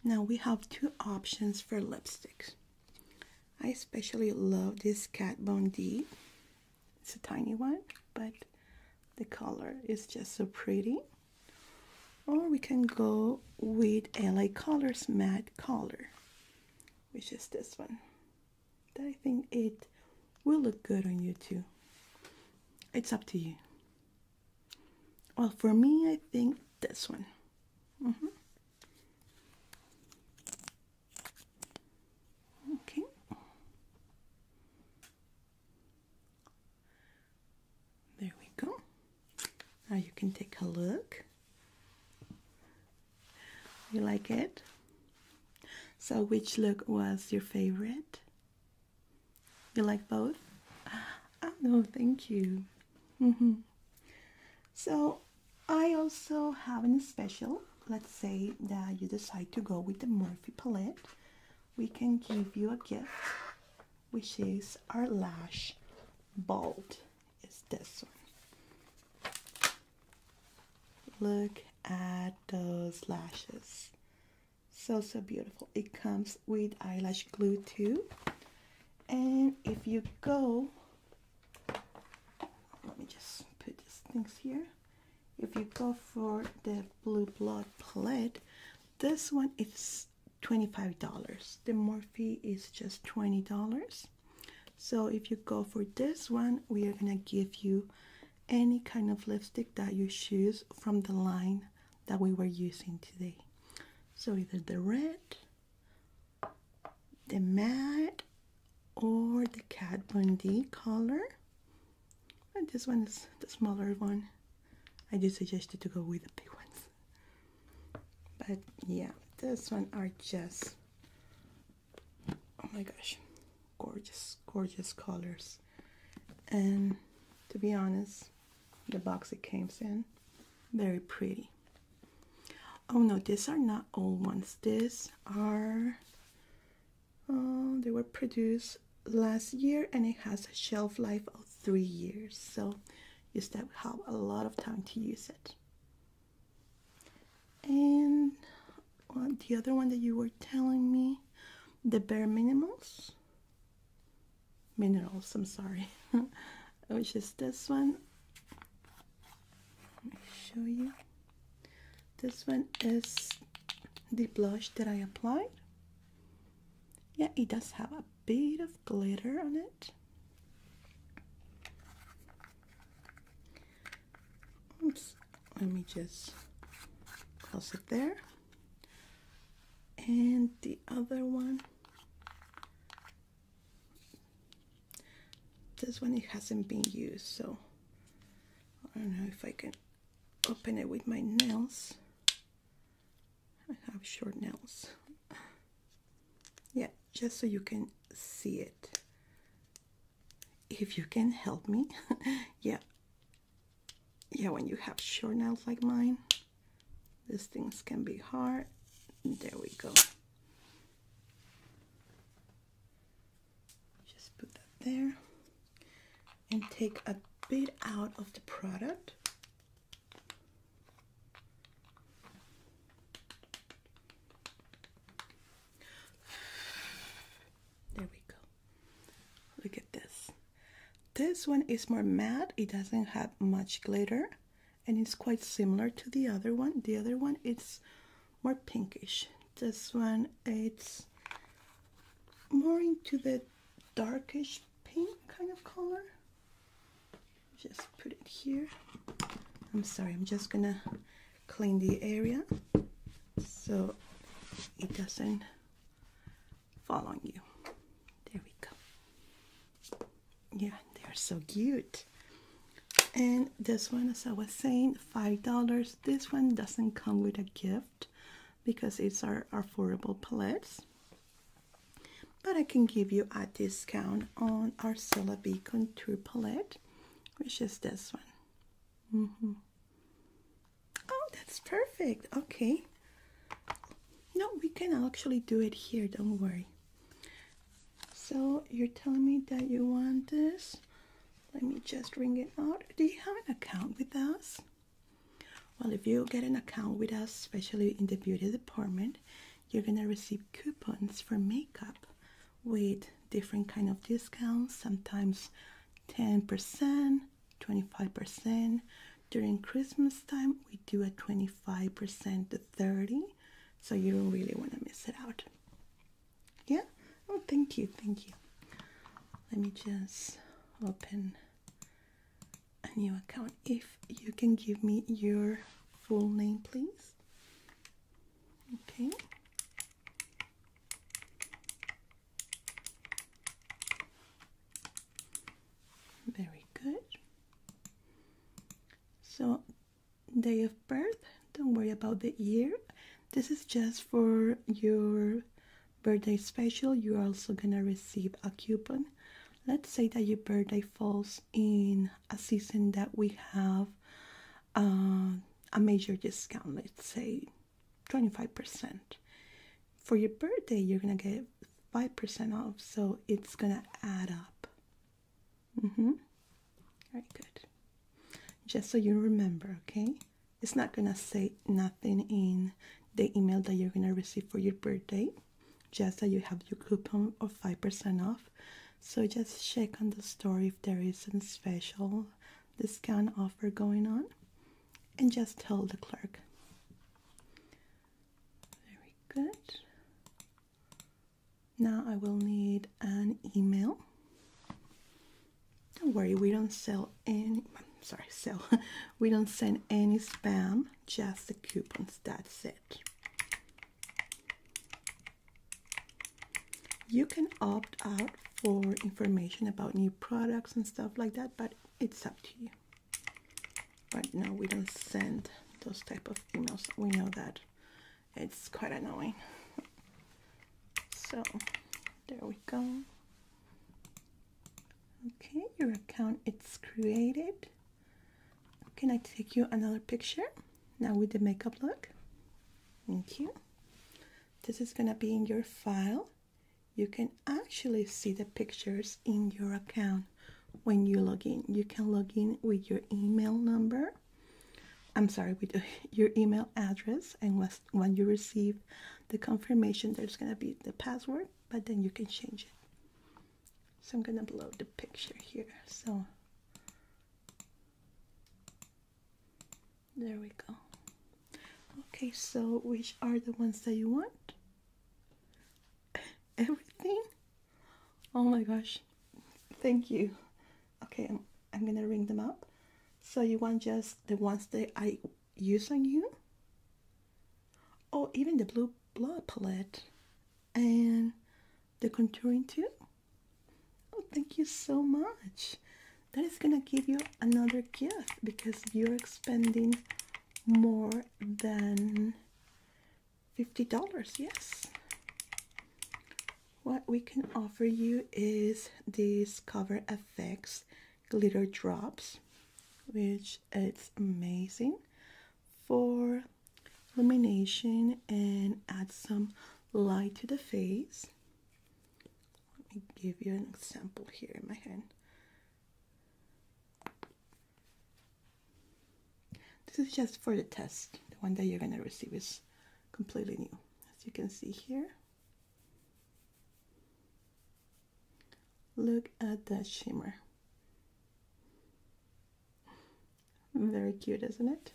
now we have two options for lipsticks. I especially love this Kat Von D. It's a tiny one, but the color is just so pretty. Or we can go with LA Colors Matte Color, which is this one. That I think it will look good on you too it's up to you. Well, for me, I think this one. Mm-hmm. Okay. There we go. Now you can take a look. You like it? So, which look was your favorite? You like both? Oh, no, thank you. Mm-hmm. So, I also have an special. Let's say that you decide to go with the Morphe palette. We can give you a gift, which is our lash bolt. Is this one? Look at those lashes. So, so beautiful. It comes with eyelash glue too. And if you go, let me just put these things here. If you go for the Blue Blood palette, this one is $25. The Morphe is just $20. So if you go for this one, we are going to give you any kind of lipstick that you choose from the line that we were using today. So either the red, the matte, or the Kat Von color. But this one is the smaller one. I just suggested to go with the big ones. But yeah, this one are just, oh my gosh, gorgeous gorgeous colors and to be honest the box it came in very pretty oh no these are not old ones these are uh, they were produced last year and it has a shelf life of three years so you still have a lot of time to use it and the other one that you were telling me the bare minimals minerals, I'm sorry, which is this one. Let me show you. This one is the blush that I applied. Yeah, it does have a bit of glitter on it. Oops, let me just close it there and the other one this one it hasn't been used so I don't know if I can open it with my nails I have short nails yeah just so you can see it if you can help me yeah yeah, when you have short nails like mine, these things can be hard. There we go. Just put that there and take a bit out of the product. There we go. Look at this. This one is more matte. It doesn't have much glitter and it's quite similar to the other one. The other one it's more pinkish. This one it's more into the darkish pink kind of color. Just put it here. I'm sorry, I'm just gonna clean the area so it doesn't Following you. There we go. Yeah, they are so cute. And this one, as I was saying, $5. This one doesn't come with a gift because it's our affordable palettes. But I can give you a discount on our Cilla B Contour palette, which is this one. Mm-hmm. Oh, that's perfect. Okay. No, we can actually do it here. Don't worry. So you're telling me that you want this. Let me just ring it out. Do you have an account with us? Well, if you get an account with us, especially in the beauty department, you're gonna receive coupons for makeup with different kind of discounts, sometimes 10%, 25%. During Christmas time, we do a 25% to 30, so you don't really want to miss it out. Yeah? Oh, thank you, thank you. Let me just open a new account. If you can give me your full name, please. Okay. Very good. So, day of birth, don't worry about the year. This is just for your birthday special. You're also gonna receive a coupon. Let's say that your birthday falls in a season that we have uh, a major discount, let's say 25%. For your birthday, you're going to get 5% off, so it's going to add up. Mm hmm. Very good. Just so you remember, okay? It's not going to say nothing in the email that you're going to receive for your birthday, just that you have your coupon of 5% off. So just check on the store if there is a special discount offer going on and just tell the clerk. Very good. Now I will need an email. Don't worry, we don't sell any, sorry, sell. we don't send any spam, just the coupons, that's it. You can opt out for information about new products and stuff like that, but it's up to you but no we don't send those type of emails we know that it's quite annoying so there we go okay your account it's created can I take you another picture now with the makeup look thank you this is gonna be in your file you can actually see the pictures in your account when you log in. You can log in with your email number. I'm sorry, with your email address, and when you receive the confirmation, there's gonna be the password, but then you can change it. So I'm gonna upload the picture here. So there we go. Okay, so which are the ones that you want? Everything? Oh my gosh. Thank you. Okay, I'm, I'm gonna ring them up. So you want just the ones that I use on you? Oh, even the blue blood palette and the contouring too? Oh, thank you so much. That is gonna give you another gift because you're expanding more than $50. Yes. What we can offer you is these Cover effects Glitter Drops, which it's amazing for illumination and add some light to the face. Let me give you an example here in my hand. This is just for the test. The one that you're going to receive is completely new. As you can see here. Look at that shimmer. Very cute, isn't it?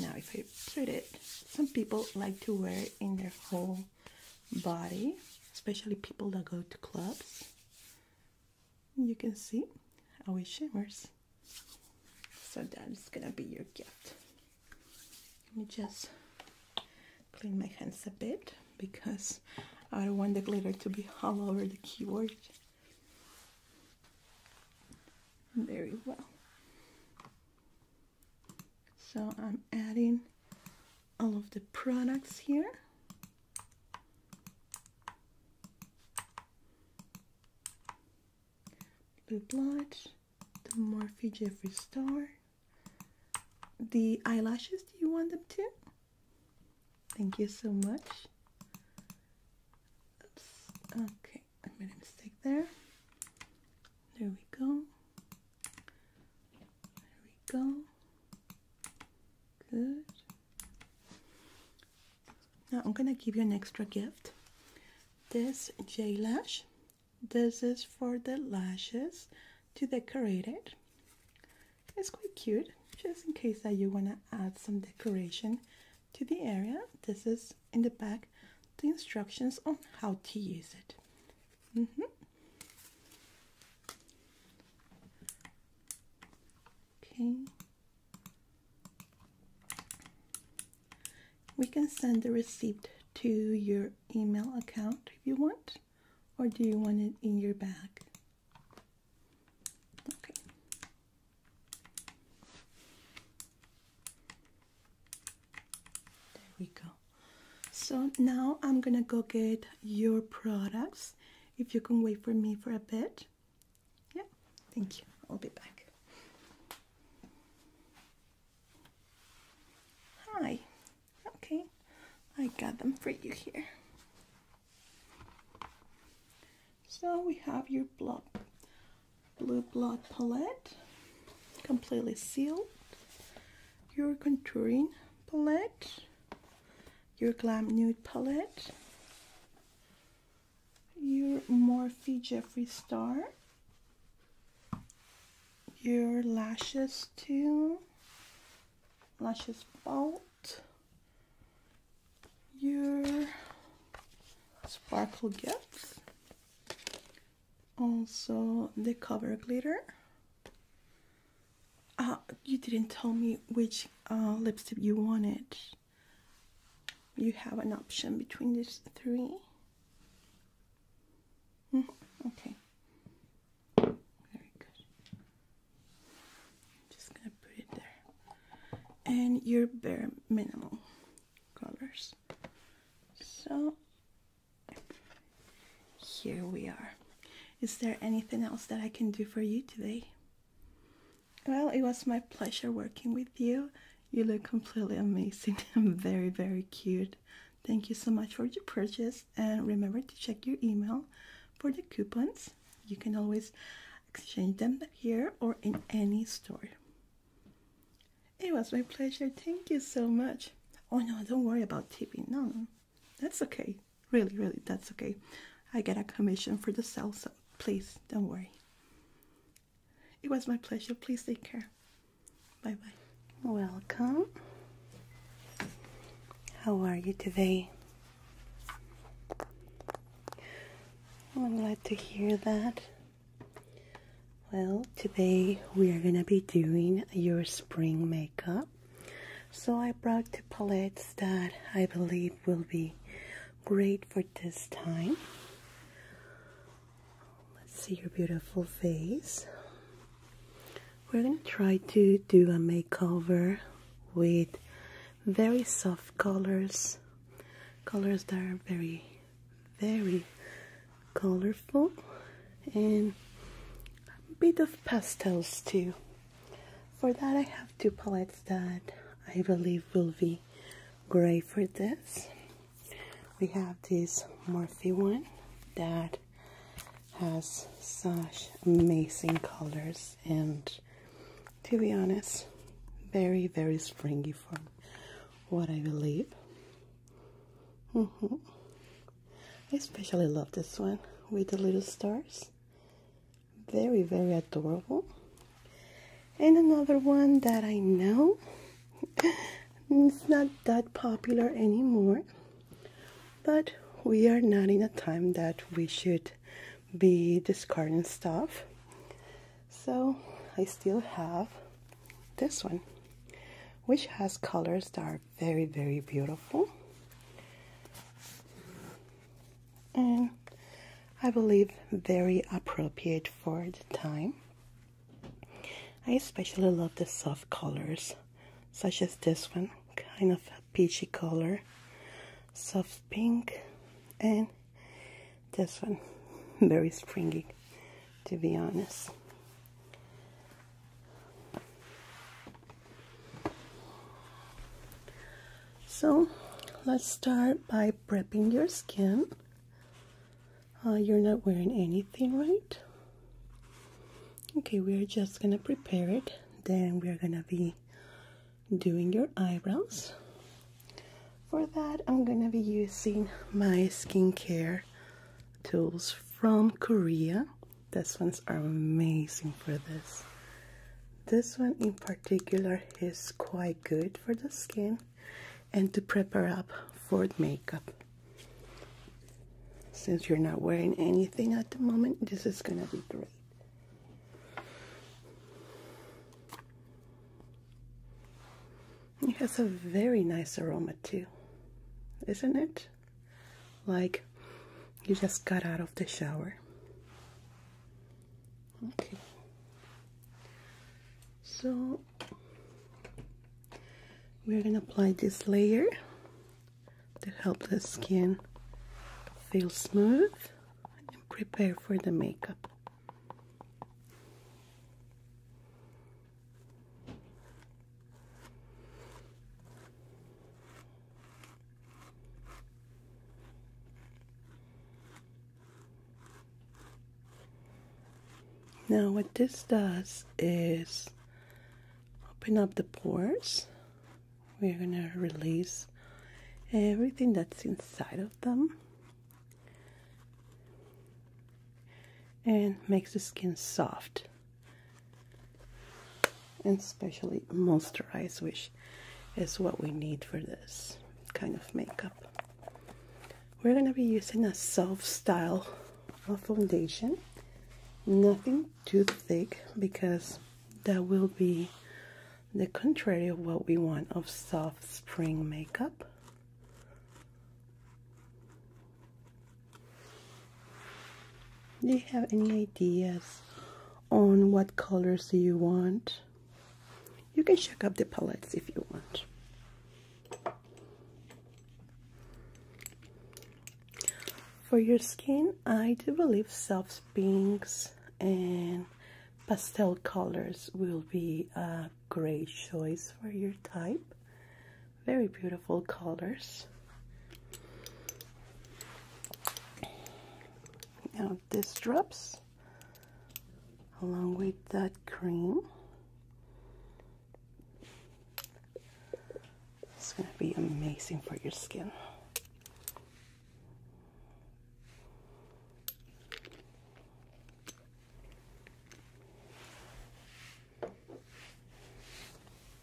Now if I put it, some people like to wear it in their whole body, especially people that go to clubs. You can see how it shimmers. So that is gonna be your gift. Let me just clean my hands a bit because I don't want the glitter to be all over the keyboard. Very well. So I'm adding all of the products here. Blue Blotch, the Morphe Jeffree Star, the eyelashes, do you want them too? Thank you so much. Oops. Okay, I made a mistake there. There we go. There we go. Good. Now I'm gonna give you an extra gift. This J lash. This is for the lashes to decorate it. It's quite cute, just in case that you wanna add some decoration to the area. This is in the back the instructions on how to use it. Mm -hmm. Okay. We can send the receipt to your email account if you want, or do you want it in your bag? There we go. So now I'm gonna go get your products. If you can wait for me for a bit. Yeah, thank you. I'll be back. Hi. Okay, I got them for you here. So we have your blue blood palette, completely sealed. Your contouring palette your Glam Nude Palette, your Morphe Jeffree Star, your Lashes too. Lashes Bolt, your Sparkle Gifts, also the Cover Glitter, uh, you didn't tell me which uh, lipstick you wanted. You have an option between these three. Mm-hmm, okay. Very good. I'm just gonna put it there. And your bare minimal colors. So here we are. Is there anything else that I can do for you today? Well, it was my pleasure working with you. You look completely amazing and very, very cute. Thank you so much for your purchase and remember to check your email for the coupons. You can always exchange them here or in any store. It was my pleasure. Thank you so much. Oh no, don't worry about tipping. No, no that's okay. Really, really, that's okay. I get a commission for the sale, so please don't worry. It was my pleasure. Please take care. Bye bye. Welcome. How are you today? I'm glad to hear that. Well, today we are gonna be doing your spring makeup. So I brought two palettes that I believe will be great for this time. Let's see your beautiful face. We're going to try to do a makeover with very soft colors, colors that are very, very colorful and a bit of pastels too. For that I have two palettes that I believe will be great for this. We have this Morphe one that has such amazing colors and to be honest very very springy for what I believe mm-hmm. I especially love this one with the little stars. Very, very adorable. And another one that I know it's not that popular anymore, but we are not in a time that we should be discarding stuff. So I still have this one, which has colors that very very beautiful and I believe very appropriate for the time. I especially love the soft colors such as this one kind of peachy color soft pink and this one very springy to be honest so let's start by prepping your skin. Uh, you're not wearing anything, right? Okay, we're just gonna prepare it. Then we're gonna be doing your eyebrows. For that, I'm gonna be using my skincare tools from Korea. These ones are amazing for this. This one in particular is quite good for the skin and to prepare up for makeup. Since you're not wearing anything at the moment, this is gonna be great. It has a very nice aroma too, isn't it? like you just got out of the shower. Okay. So we're going to apply this layer to help the skin feel smooth and prepare for the makeup. Now what this does is open up the pores. We're going to release everything that's inside of them and makes the skin soft and especially moisturize which is what we need for this kind of makeup we're going to be using a soft style of foundation nothing too thick because that will be the contrary of what we want of soft spring makeup do you have any ideas on what colors do you want? You can check up the palettes if you want. For your skin, I do believe soft pinks and pastel colors will be a great choice for your type. Very beautiful colors. Now this drops along with that cream. It's going to be amazing for your skin.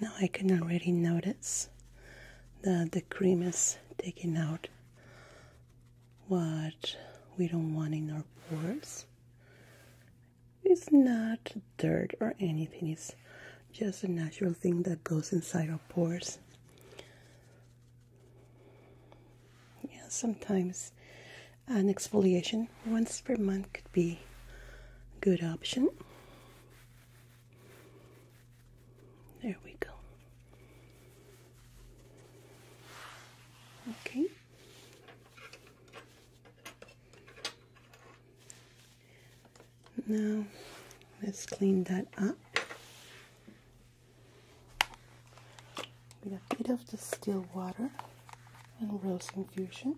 Now I can already notice that the cream is taking out what we don't want in our pores. It's not dirt or anything, it's just a natural thing that goes inside our pores. Yeah, sometimes an exfoliation once per month could be a good option. There we go. Okay. Now let's clean that up with a bit of distilled water and rose infusion.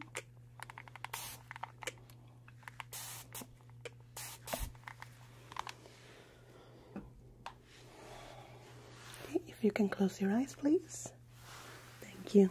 if you can close your eyes, please. Thank you.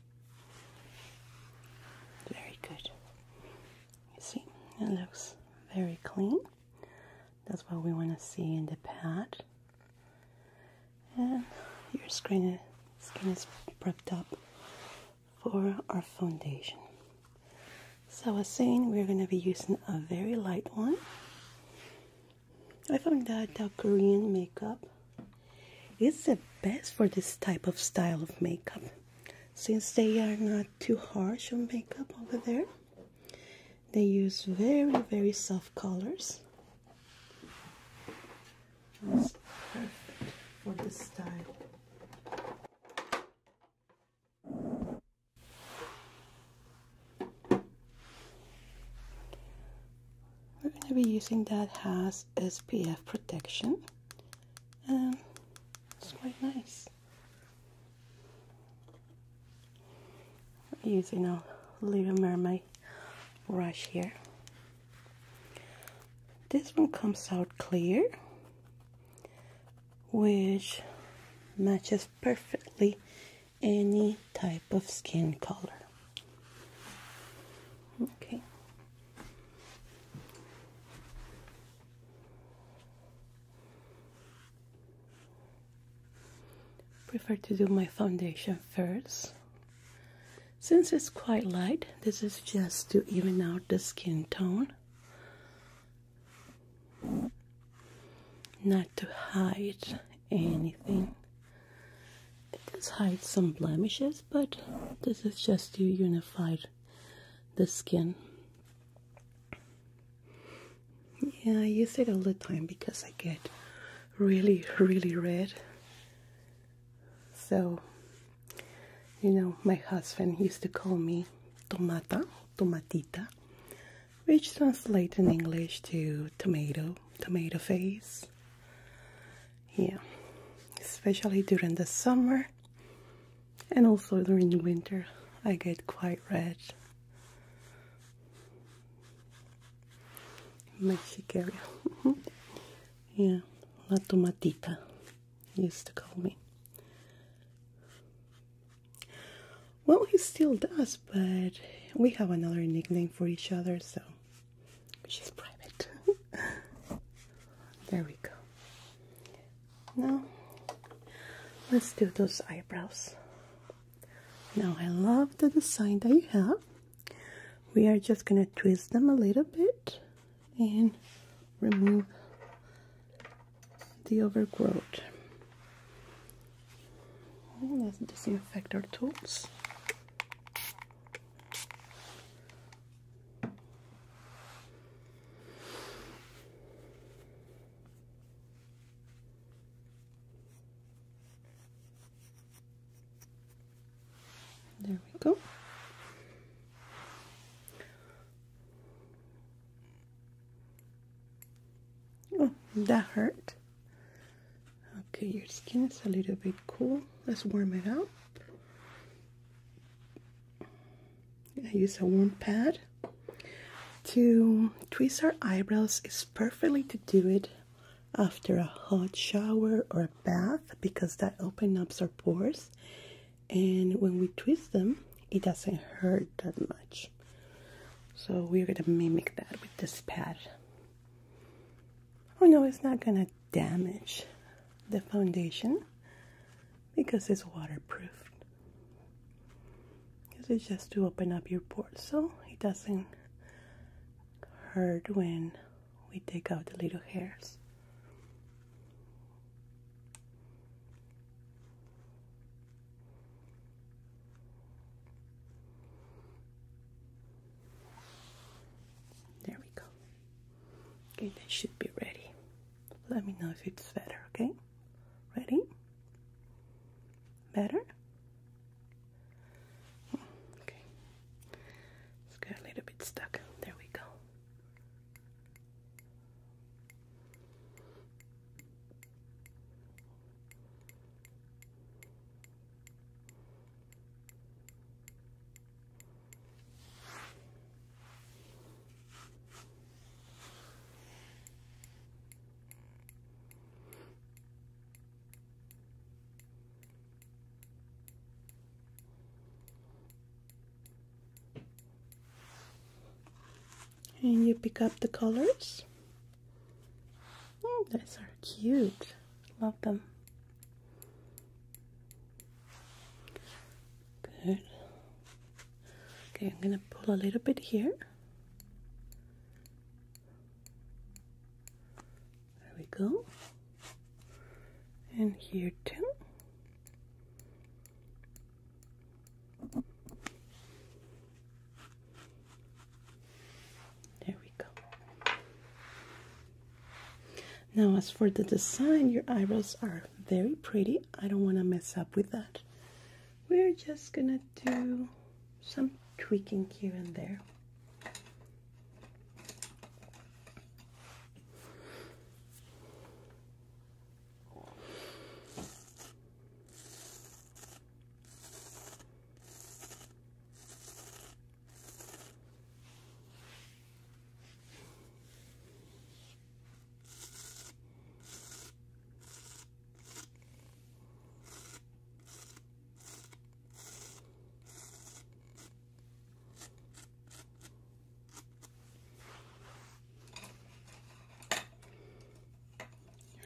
Very good. You see, it looks very clean. That's what we want to see in the pad. And your skin, is prepped up for our foundation. So I was saying we're going to be using a very light one. I found that the Korean makeup it's the best for this type of style of makeup since they are not too harsh on makeup over there. They use very, very soft colors. That's perfect for this style. We're going to be using that has. SPF protection. Um, it's quite nice. Using a Little Mermaid brush here. This one comes out clear, which matches perfectly any type type of skin color. Okay. Prefer to do my foundation first. Since it's quite light, this is just to even out the skin tone, not to hide anything it does hide some blemishes, but this is just to unify the skin. Yeah, I use it all the time because I get really, really red. So, you know, my husband used to call me tomata, tomatita, which translates in English to tomato, tomato face yeah especially during the summer and also during winter I get quite red my yeah la tomatita used to call me well he still does but we have another nickname for each other so She's private. there we go. Now, let's do those eyebrows. Now, I love the design that you have. We are just going to twist them a little bit and remove the overgrowth. Let's disinfect our tools. There we go. Oh, that hurt. Okay, your skin is a little bit cool. Let's warm it up. I use a warm pad. To twist our eyebrows is perfectly to do it after a hot shower or a bath because that opens up our pores and when we twist them it doesn't hurt that much so we're gonna mimic that with this pad Oh no, it's not going to damage the foundation because it's waterproof. Because it's just to open up your pores so it doesn't hurt when we take out the little hairs. There we go. Okay, that should be ready. Let me know if it's better, okay? Ready? Better? Okay. It's got a little bit stuck. There we go. And you pick up the colors. Oh, those are cute. Love them. Good. Okay, I'm going to pull a little bit here. There we go. And here too. There we. Now, as for the design, your eyebrows are very pretty. I don't want to mess up with that. We're just gonna do some tweaking here and there.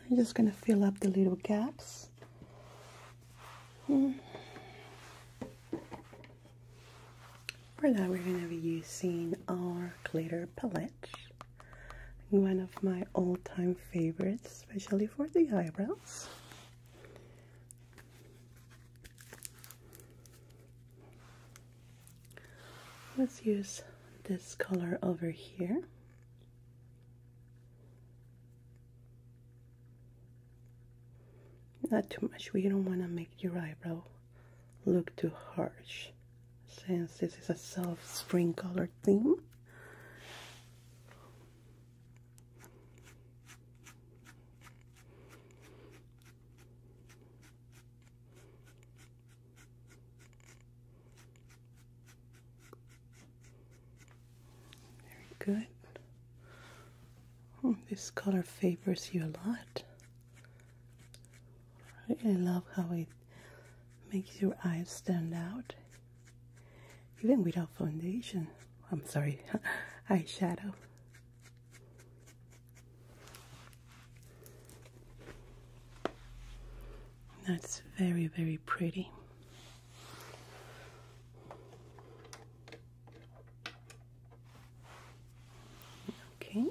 I'm just going to fill up the little gaps. Hmm. For that, we're going to be using our glitter palette, one of my all time favorites, especially for the eyebrows. Let's use this color over here. Not too much, we don't want to make your eyebrow look too harsh since this is a soft spring color theme. Very good. Hmm, this color favors you a lot. I love how it makes your eyes stand out. Even without foundation. I'm sorry, eyeshadow. That's very, very pretty. Okay.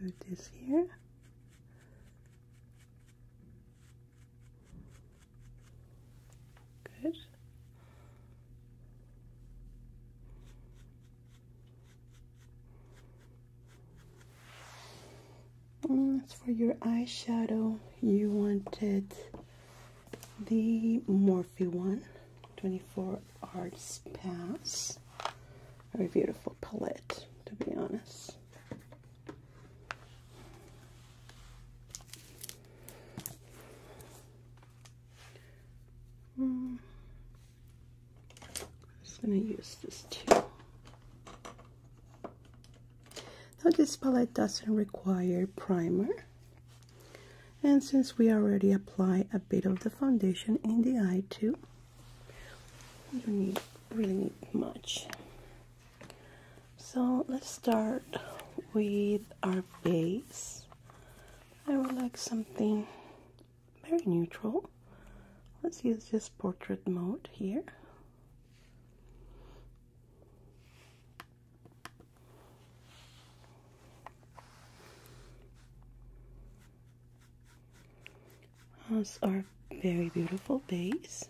put this here. Good. Mm, as for your eyeshadow, you wanted the Morphe one, 24 Arts Pass. Very beautiful palette, to be honest. Mm. I'm just going to use this too. Now this palette doesn't require primer. And since we already apply a bit of the foundation in the eye too, we don't need, really need much. So let's start with our base. I would like something very neutral. Let's use this portrait mode here. Those are very beautiful base.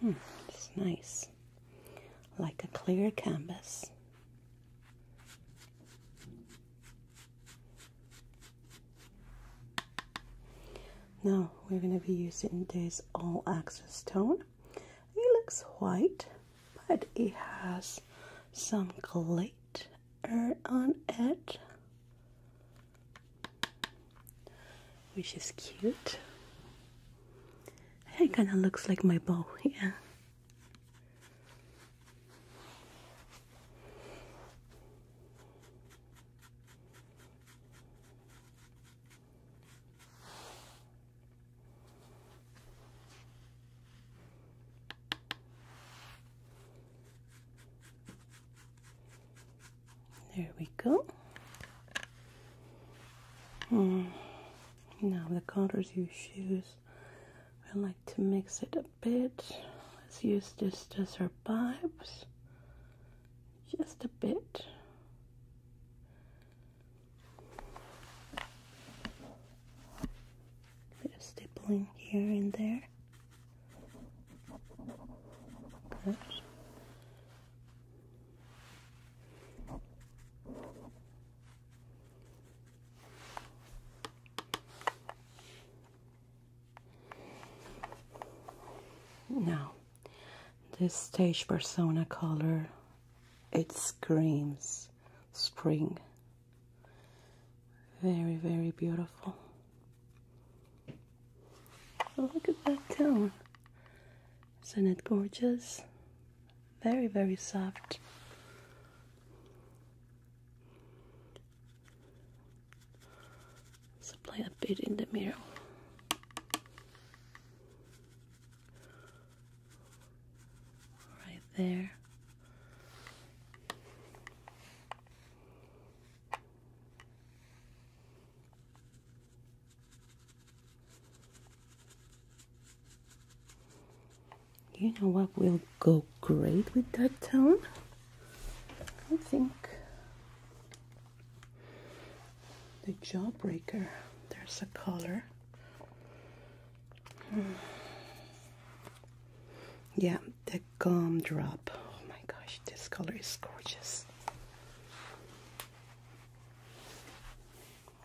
Hmm, it's nice like a clear canvas. Now we're going to be using this all access stone. It looks white, but it has some glitter on it, which is cute. It kind of looks like my bow, yeah. There we go. Mm. Now, the colors you choose, I like to mix it a bit. Let's use this as our vibes, just a bit. A bit of stippling here and there. Now, this stage persona color it screams spring. Very, very beautiful. Oh, look at that tone. Isn't it gorgeous? very, very soft. Supply a bit in the middle. Right there. You know what will go great with that tone? I think the jawbreaker, there's a color. Hmm. Yeah, the gumdrop. Oh my gosh, this color is gorgeous.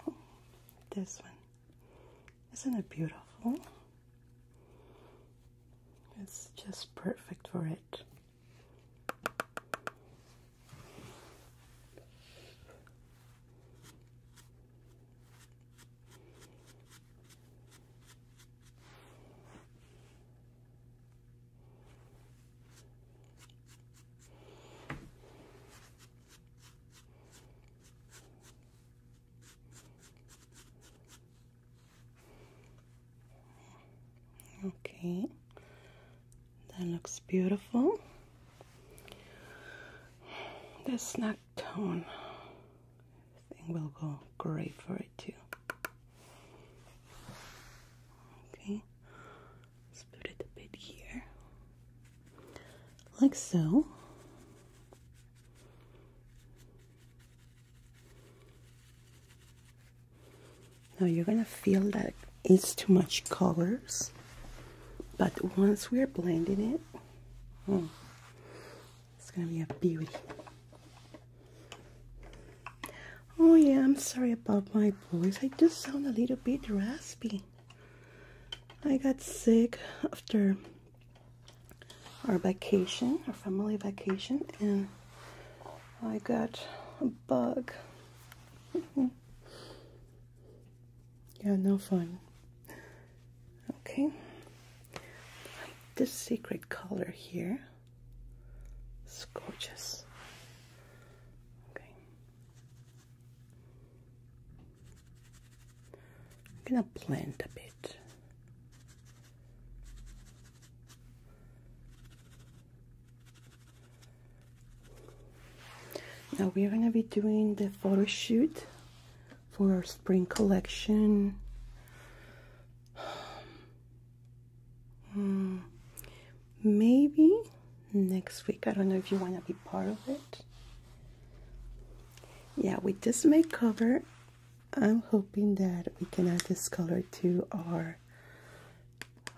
Oh, this one. Isn't it beautiful? It's just perfect for it. Okay, that looks beautiful. The snack tone thing will go great for it too. Okay, split it a bit here, like so. Now you're gonna feel that it's too much colors, but once we're blending it, hmm, it's gonna be a beauty. Oh yeah, I'm sorry about my voice. I just sound a little bit raspy. I got sick after our vacation, our family vacation, and I got a bug. yeah, no fun. Okay, this secret color here is gorgeous. Okay. I'm gonna plant a bit. Now we're gonna be doing the photo shoot for our spring collection. Hmm, maybe next week. I don't know if you want to be part of it yeah with this cover, i'm hoping that we can add this color to our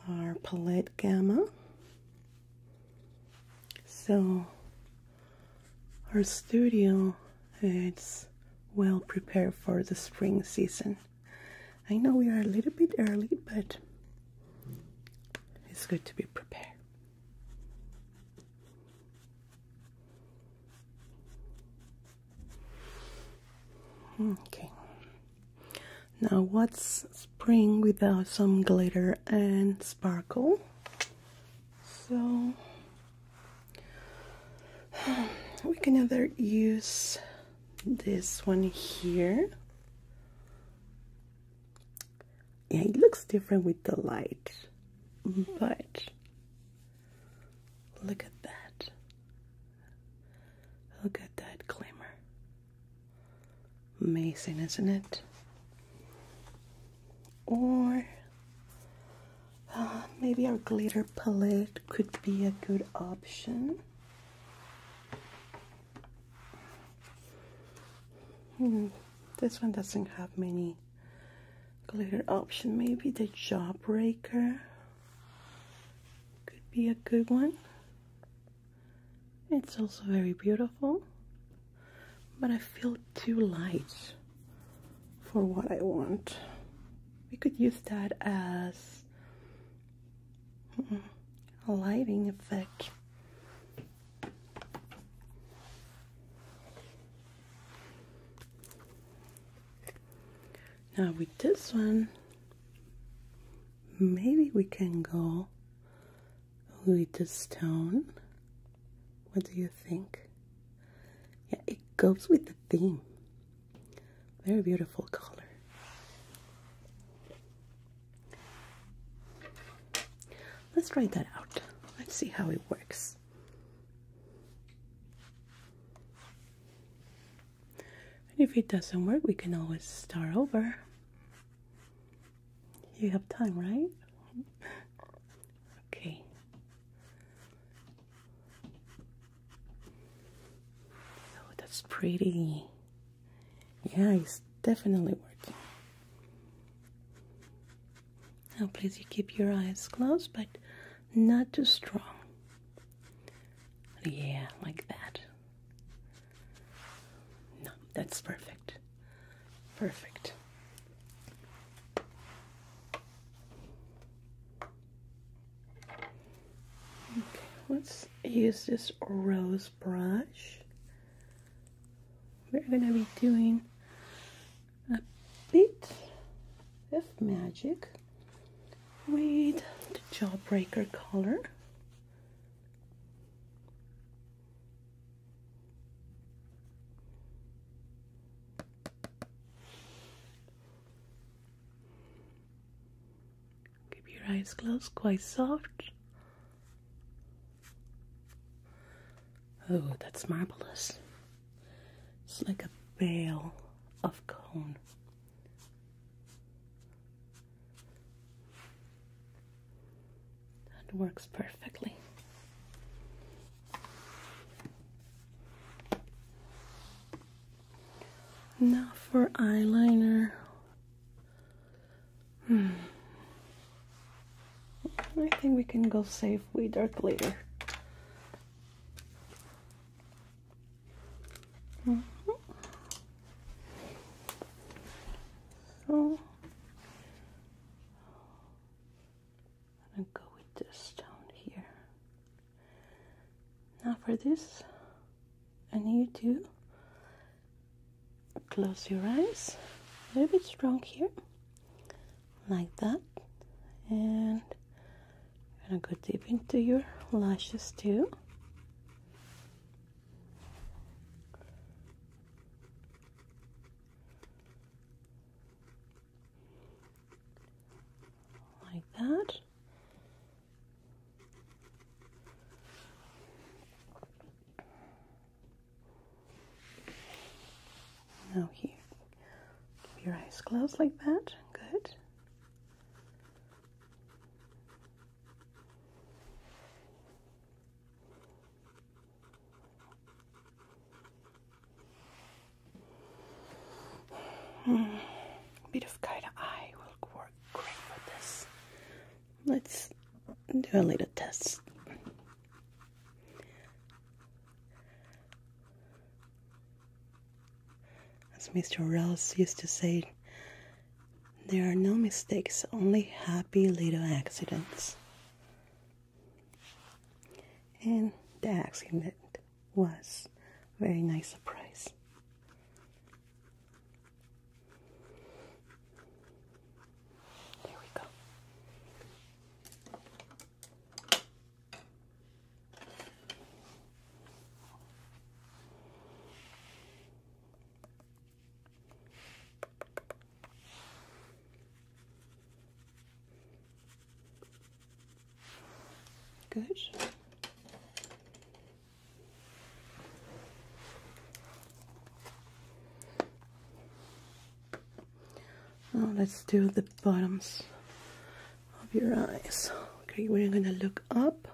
our palette gamma so our studio is well prepared for the spring season i know we are a little bit early but it's good to be prepared Okay. Now, what's spring without some glitter and sparkle? So, we can either use this one here yeah, it looks different with the light, but look at that. Look at that glimmer. Amazing, isn't it? Or uh, maybe our glitter palette could be a good option. Hmm, this one doesn't have many glitter options. Maybe the Jawbreaker could be a good one. It's also very beautiful, but I feel too light for what I want. We could use that as hmm, a lighting effect. Now with this one, maybe we can go with the stone. What do you think? Yeah, it goes with the theme. Very beautiful color. Let's write that out. Let's see how it works. And if it doesn't work, we can always start over. You have time, right? Okay. Oh, that's pretty. Yeah, it's definitely working. Now, please, you keep your eyes closed, but not too strong. Yeah, like that. No, that's perfect. Perfect. Okay, let's use this rose brush we're going to be doing a bit of magic with the jawbreaker color keep your eyes closed quite soft Oh, that's marvelous. It's like a veil of cone. That works perfectly. Now for eyeliner. Hmm. I think we can go save Wee Dark later. Mm-hmm. So I'm gonna go with this down here. Now for this, I need to close your eyes a little bit strong here like that and I'm gonna go deep into your lashes too like that now here. Keep your eyes closed like that. Good. A hmm, bit of kite eye will work great with this. Let's do a little test. As Mr. Ross used to say, there are no mistakes, only happy little accidents. And the accident was a very nice surprise. There we go. Good. Now oh, let's do the bottoms of your eyes. Okay, we're gonna look up.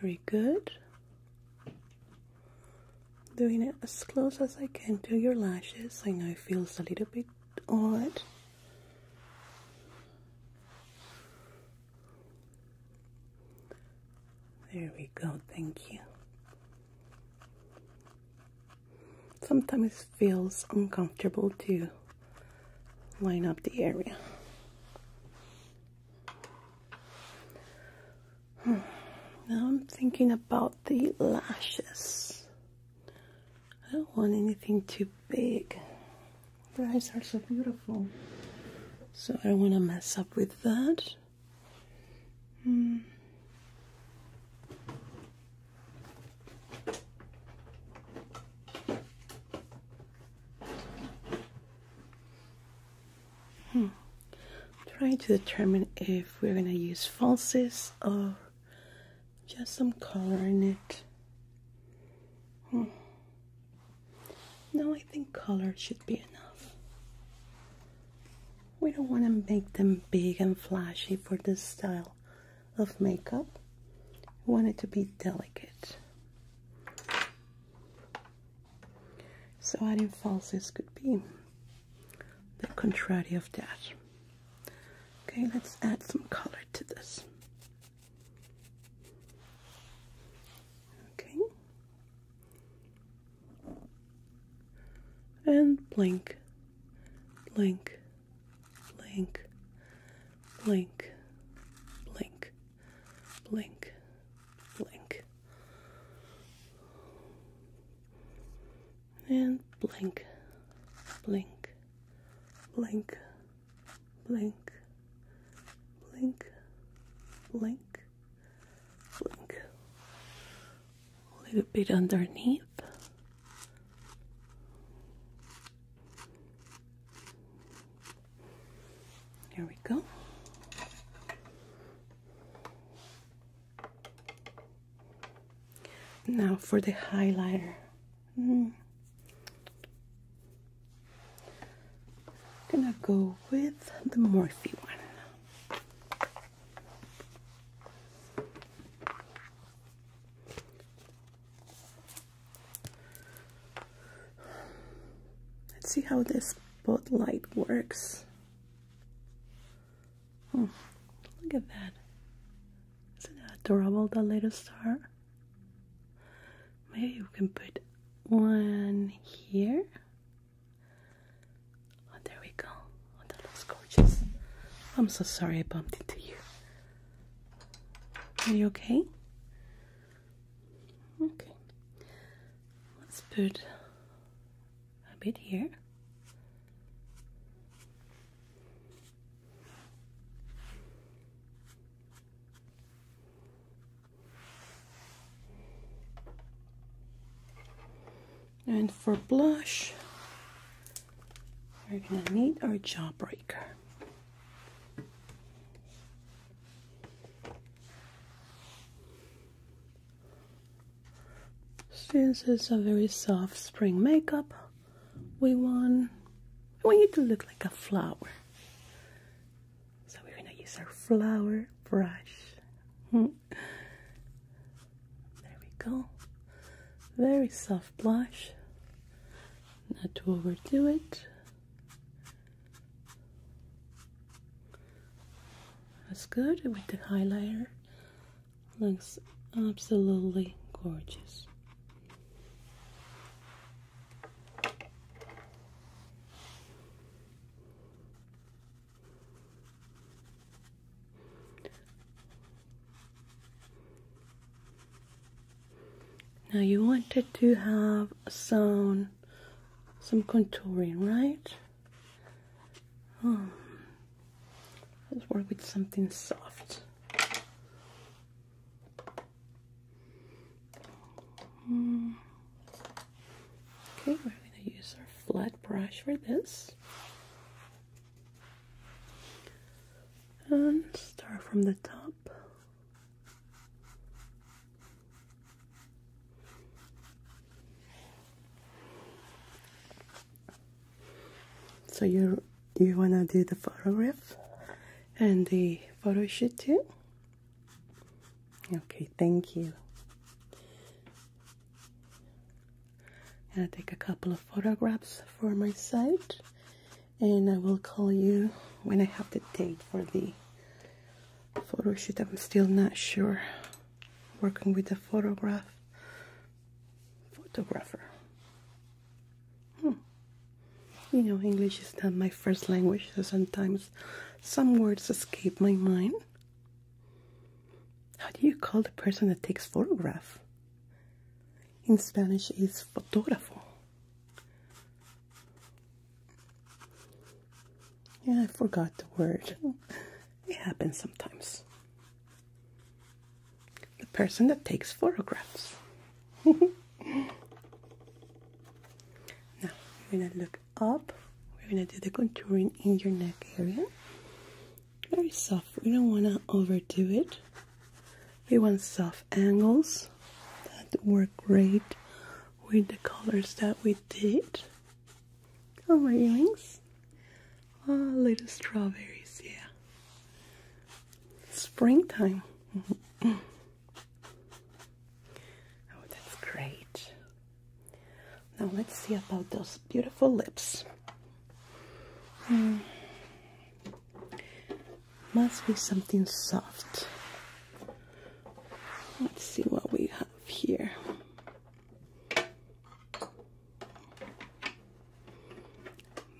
Very good. Doing it as close as I can to your lashes. I know it feels a little bit odd. There we go, thank you. Sometimes feels uncomfortable to line up the area. Hmm. Now I'm thinking about the lashes. I don't want anything too big. The eyes are so beautiful. So I don't want to mess up with that out. Hmm. Hmm. Try to determine if we're going to use falses or just some color in it. Hmm. Now I think color should be enough. We don't want to make them big and flashy for this style of makeup. We want it to be delicate. So adding falsies could be the contrary of that. Okay, let's add some color to this. Okay, and blink, blink, blink, blink, blink, blink, blink, and blink, blink, blink, blink, blink, blink, Look. A little bit underneath. There we go. Now for the highlighter. Hmm gonna go with the Morphe one. Let's see how this spotlight works. Oh, look at that. Isn't that adorable, the little star? Maybe we can put one here Oh, there we go. Oh, that looks gorgeous. I'm so sorry I bumped into you. Are you okay? Okay. Let's put a bit here. And for blush, we're going to need our jawbreaker. Since it's a very soft spring makeup, we want, we need to look like a flower. So we're gonna use our flower brush. Hmm. there we go. Very soft blush. Not to overdo it. That's good with the highlighter. Looks absolutely gorgeous. Now you wanted to have some some contouring, right? Hmm. Let's work with something soft. Hmm. Okay, we're going to use our flat brush for this. And start from the top. So you you wanna do the photograph and the photo shoot too? Okay, thank you. i take a couple of photographs for my site and I will call you when I have the date for the photo shoot. I'm still not sure. Working with a photograph photographer. Hmm. You know, English is not my first language, so sometimes some words escape my mind. How do you call the person that takes photograph? In Spanish, it's fotógrafo. Yeah, I forgot the word. It happens sometimes. The person that takes photographs. now, we're going to look up. We're gonna do the contouring in your neck area. Very soft. We don't wanna overdo it. We want soft angles that work great with the colors that we did. Oh my earrings. Oh, little strawberries, yeah. Springtime. oh, that's great. Now let's see about those beautiful lips. Mm. Must be something soft. Let's see what we have here.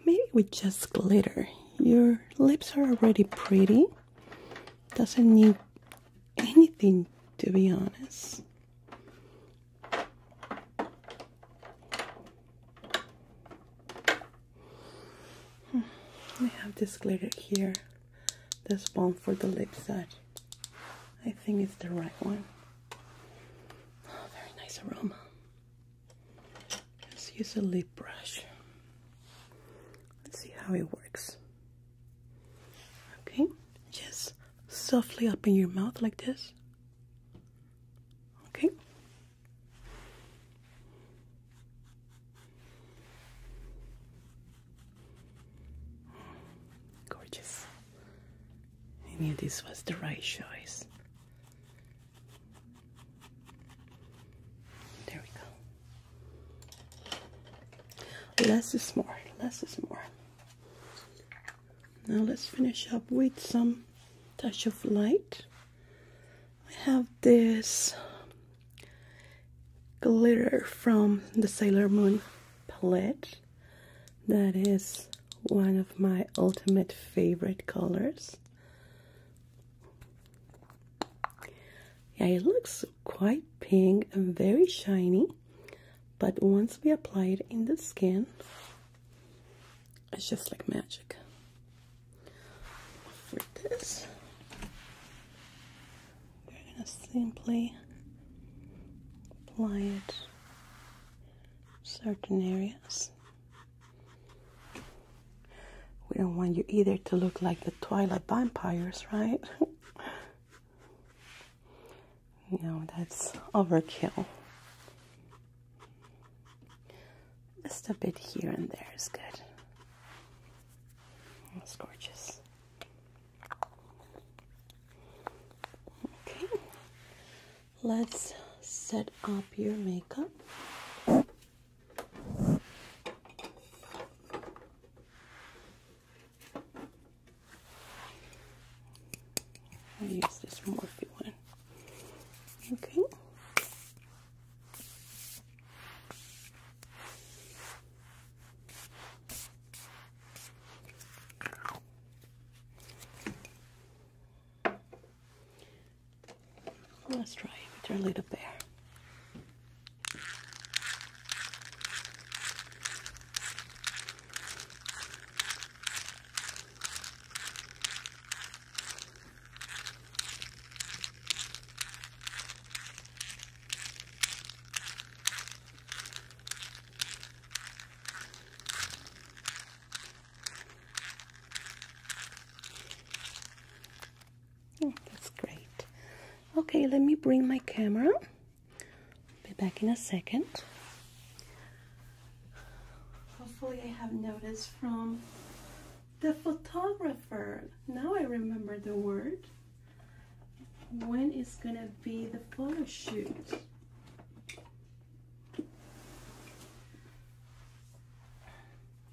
Maybe with just glitter. Your lips are already pretty. Doesn't need anything, to be honest. Hmm, I have this glitter here, this one for the lips that I think it's the right one. Oh, very nice aroma. Let's use a lip brush. Let's see how it works. Okay, just softly open your mouth like this. Okay. Gorgeous. I knew this was the right choice. There we go. Less is more. Less is more. Now let's finish up with some touch of light. I have this glitter from the Sailor Moon palette. That is one of my ultimate favorite colors. Yeah, it looks quite pink and very shiny but once we apply it in the skin it's just like magic for this we're gonna simply apply it certain areas we don't want you either to look like the twilight vampires right No, that's overkill. Just a bit here and there is good. That's gorgeous. Okay, let's set up your makeup. I'll use this Morphe one. Okay. Let's try it with our little bear. Oh, that's great. Okay, let me bring my camera be back in a second. Hopefully, I have noticed from the photographer. Now I remember the word. When is gonna be the photo shoot?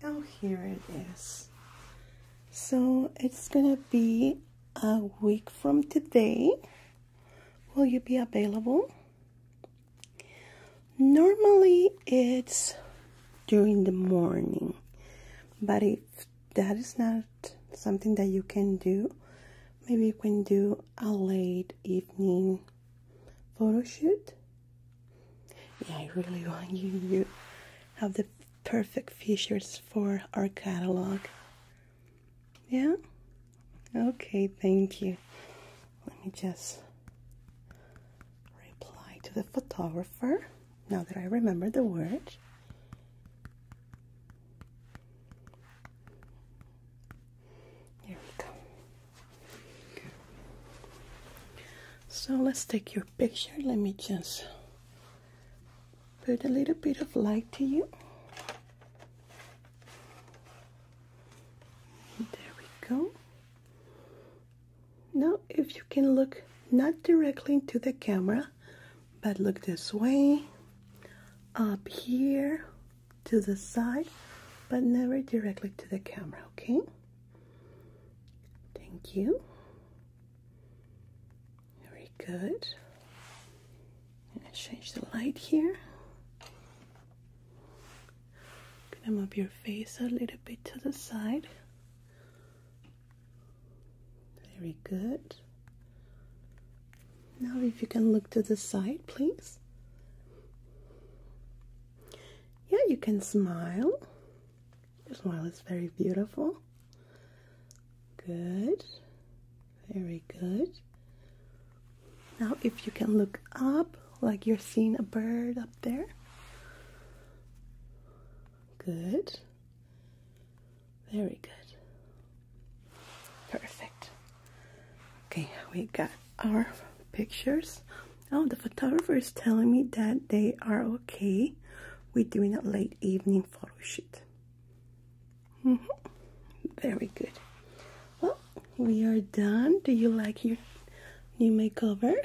Oh, here it is. So it's gonna be a week from today. Will you be available? Normally it's during the morning, but if that is not something that you can do, maybe we can do a late evening photo shoot. Yeah, I really want you. to have the perfect features for our catalog. Yeah? Okay, thank you. Let me just reply to the photographer now that I remember the word. There we go. So let's take your picture. Let me just put a little bit of light to you. There we go. Now, if you can look not directly into the camera, but look this way, up here, to the side, but never directly to the camera, okay? Thank you. Very good. Let am change the light here. Come up your face a little bit to the side. Very good. Now, if you can look to the side, please. Yeah, you can smile. Your smile is very beautiful. Good. Very good. Now, if you can look up like you're seeing a bird up there. Good. Very good. Perfect. Okay, we got our pictures. Oh, the photographer is telling me that they are okay We're doing a late evening photo shoot. Mm -hmm. Very good. Well, we are done. Do you like your new makeover?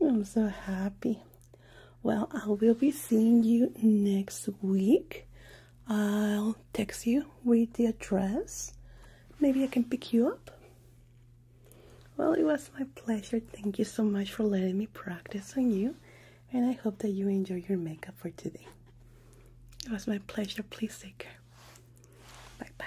I'm so happy. Well, I will be seeing you next week. I'll text you with the address. Maybe I can pick you up. Well, it was my pleasure. Thank you so much for letting me practice on you and I hope that you enjoy your makeup for today. It was my pleasure. Please take care. Bye bye.